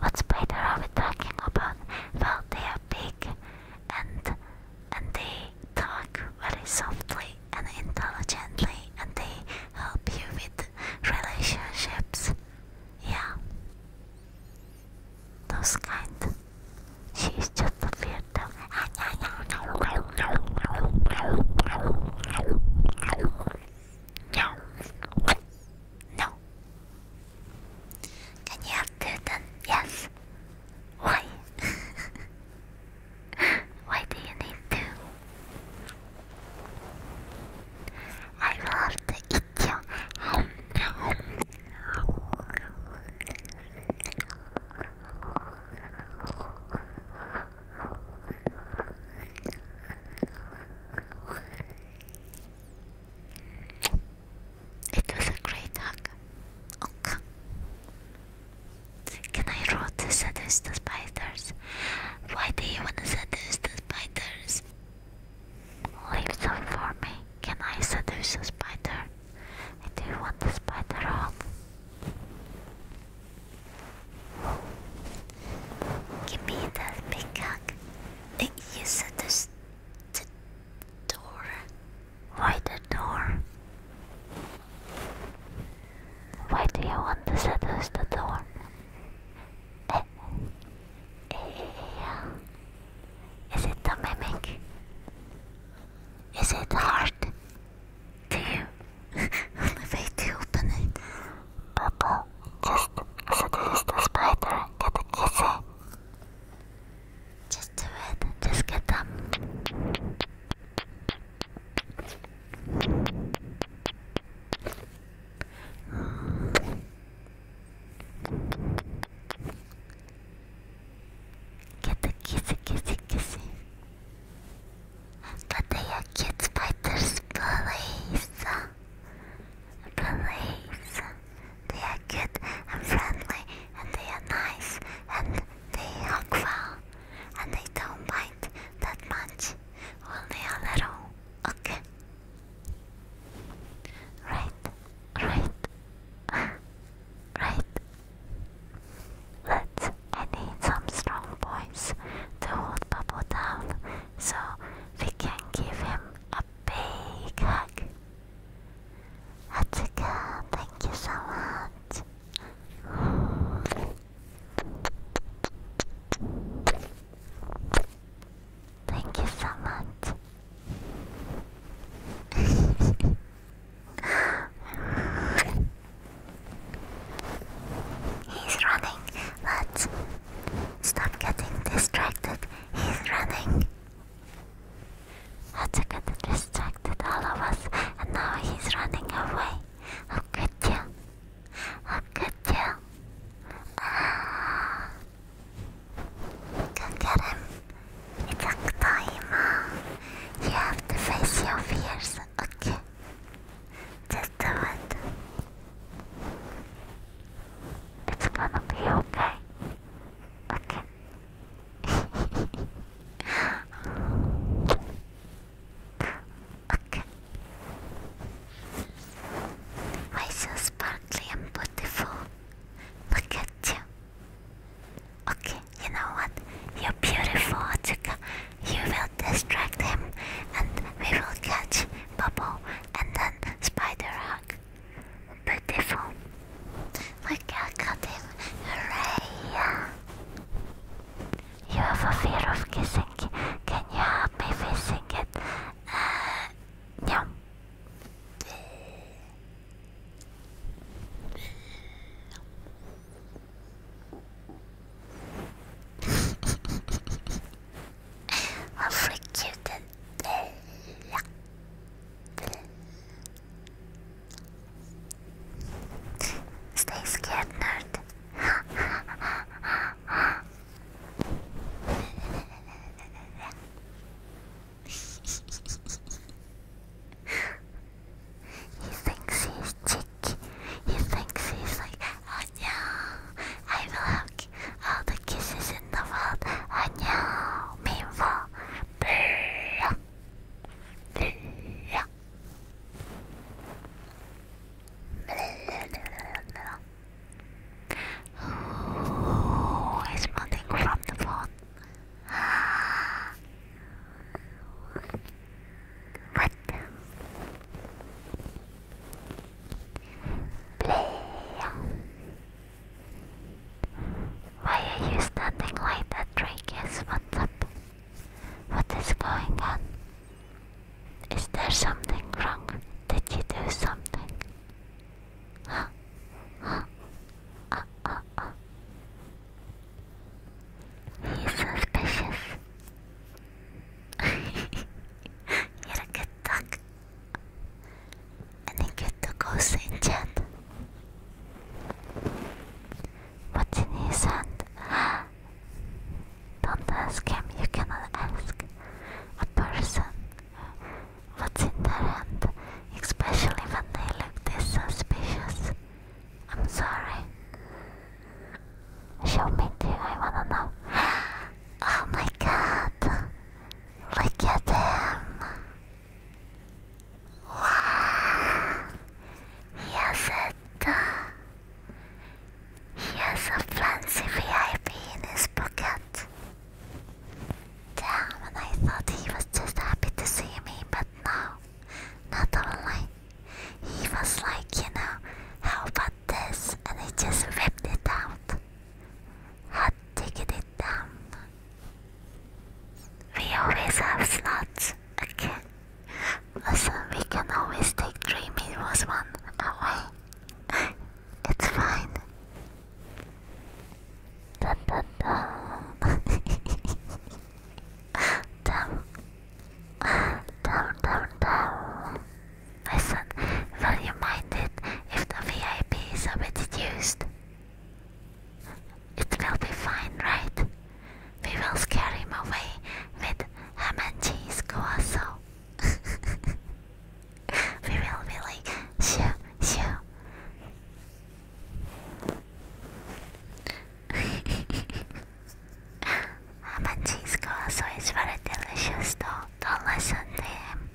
[SPEAKER 1] What spider are we talking about? Well, they are big and and they talk very softly and intelligently and they help you with relationships. Yeah those kind. She's just a weirdo. No. No. Can you have curtain? Yes. Why? Why do you need to? I love to eat you. It was a great hug. Okay. Can I roll to seduce spiders? Why do you want to seduce spiders? Leave some for me. Can I seduce a spider? I do want the spider home? Give me that big cock. You seduced the door. Why the door? Why do you want to seduce the door? Eh, eh, eh, yeah. Is it the mimic? Is it hard to only way to open it? Purple, just as it is the spider getting easy. Just do it, just get them. Get the kissy kissy kissy. Get the your kids fighters, please. Please. They are good and friendly and they are nice and they hug well and they don't mind that much. Only a little. Okay. Right, right, right. But I need some strong boys to hold Bubble down so we can give him a big hug. Hatsuka, thank you so much. Thank you so much. He's running. Let's stop getting distracted. He's running. Let's get distracted, all of us. And now he's running away. Look at you. Look at you. Ah. Go get him. It's Octoima. You have to face your fears, okay? Just do it. It's gonna be okay. Okay. okay. Why so sparkly and beautiful? Look at you. Okay, you know what? You're beautiful, Atsuka. You will distract him, and we will catch Bubble and then Spider Hawk. Beautiful. Look, I got him. Hooray! You have a fear of kissing. Can you help me facing it? Uh, I'll freak you to Stay scared, nerd. he thinks he's cheeky. He thinks he's like, oh no, I will have all the kisses in the world. Oh no, meanwhile, brrrr, brrrr. Who is running from the phone? What? Play. Why are you standing like that, Drakus? What's up? What is going on? Is there something wrong? Did you do something? He's suspicious. you a good duck. And you get go in chat. What's in his hand? Don't ask him, you cannot ask. A person what's in their hand, especially when they look this suspicious. I'm sorry. Show me too, I wanna know. Oh my god! Look at him! Wow! He has it! He has a fancy VIP in his pocket. Damn, I thought he was just happy to see me, but no, not only. He was like, you know, how about this? And he just ripped it out. Hot diggity down. We always have slots, again. Listen, we can always take three meals one away. It's fine. Dun dun down. Down, down, down. Listen, will you mind it if the VIP is a It will be fine, right? We will scare him away with ham and cheese guaso. we will be like, shoo, shoo. Hamanji's also is very delicious though. Don't listen to him.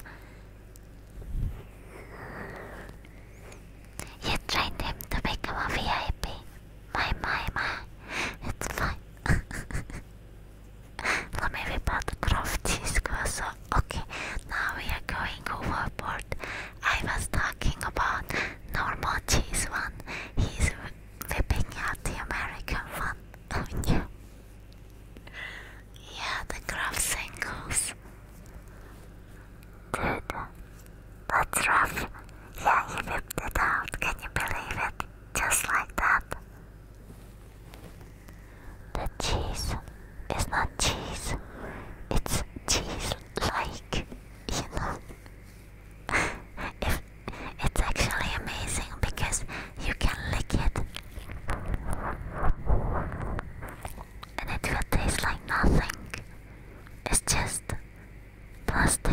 [SPEAKER 1] You trained him to become a VIP. My, my, my. It's fine. Let me the Croft Cheese Croissant. Okay, now we are going overboard. I was talking about normal cheese one. He's whipping out the American one. Oh yeah. Yeah, the graph singles. Dude, that's rough. Yeah, he whipped it out. Can you believe it? Just like that cheese is not cheese, it's cheese like, you know. if, it's actually amazing because you can lick it and it will taste like nothing. It's just plastic.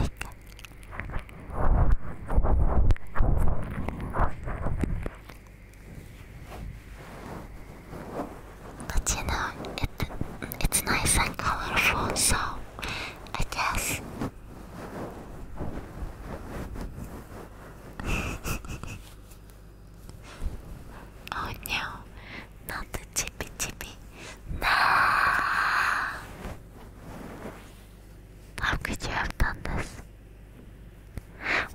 [SPEAKER 1] But you know, it it's nice and colorful, so I guess. oh no, not the tippy tippy. No! How could you have done this?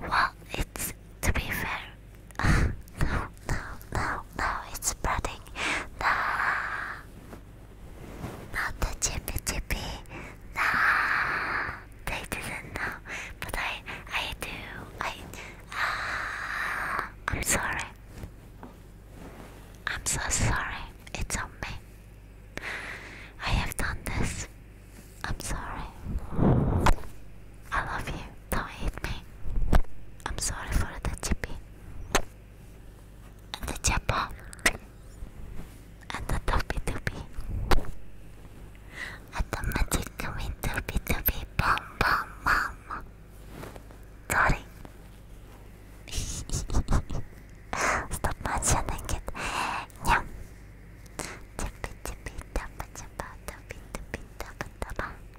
[SPEAKER 1] Well, it's to be fair, no, no, no, no, it's spreading. Nah. Not the chippy chippy. Nah. They didn't know. But I I do. I ah, I'm sorry. I'm so sorry. It's on me. I have done this. I'm sorry. I love you. Don't hate me. I'm sorry for the chippy. And the chappa. And the toppy toppy. And the magic coming toppy toppy. Bum bum bum. Sorry. Stop mentioning it. Yeah. Chippy chippy tappa tappa tappi tappi tappa tappa.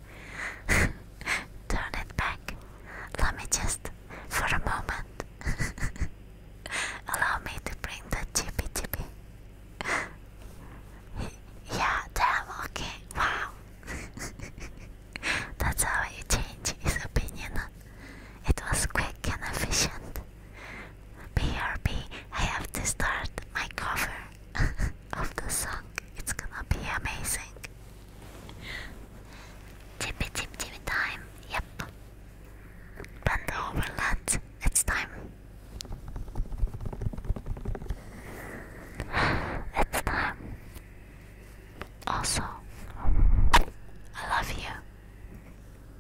[SPEAKER 1] Turn it back. Let me just, for a moment, allow me to bring the chippy chippy. yeah, damn, okay, wow. That's how he changed his opinion. It was quick and efficient. BRB, have to start my cover of the song. It's gonna be amazing. Tippy tip tippy time. Yep. Bend over, lad. It's time. It's time. Also, I love you,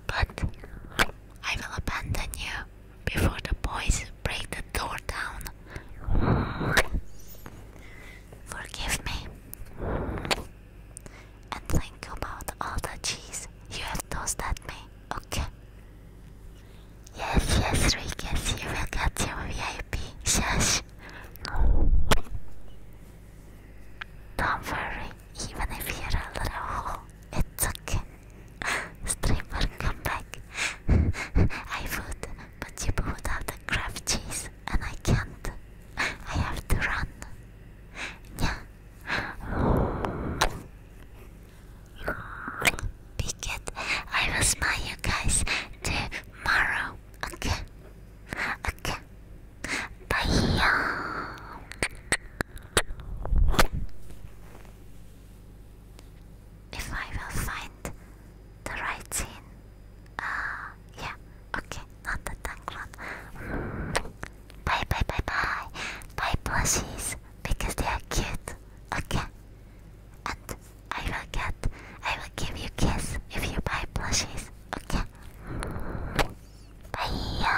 [SPEAKER 1] but I will abandon you before the boys break the door down Forgive me. And think about all the cheese you have tossed at me, okay? Yes, yes, Rikus, you will get your VIP. Shush. Don't worry, even if you're a little hole, it's okay. Streamer, come back. I would, but you put have the craft cheese and I can't. I have to run. Yeah. Picket, I will smile you guys tomorrow. Okay. Okay. Bye. If I will find the right scene. Uh, yeah, okay, not the tank one. Bye bye bye bye. Buy plushies because they are cute. Okay. And I will get I will give you kiss if you buy plushies. Okay. Bye. -ya.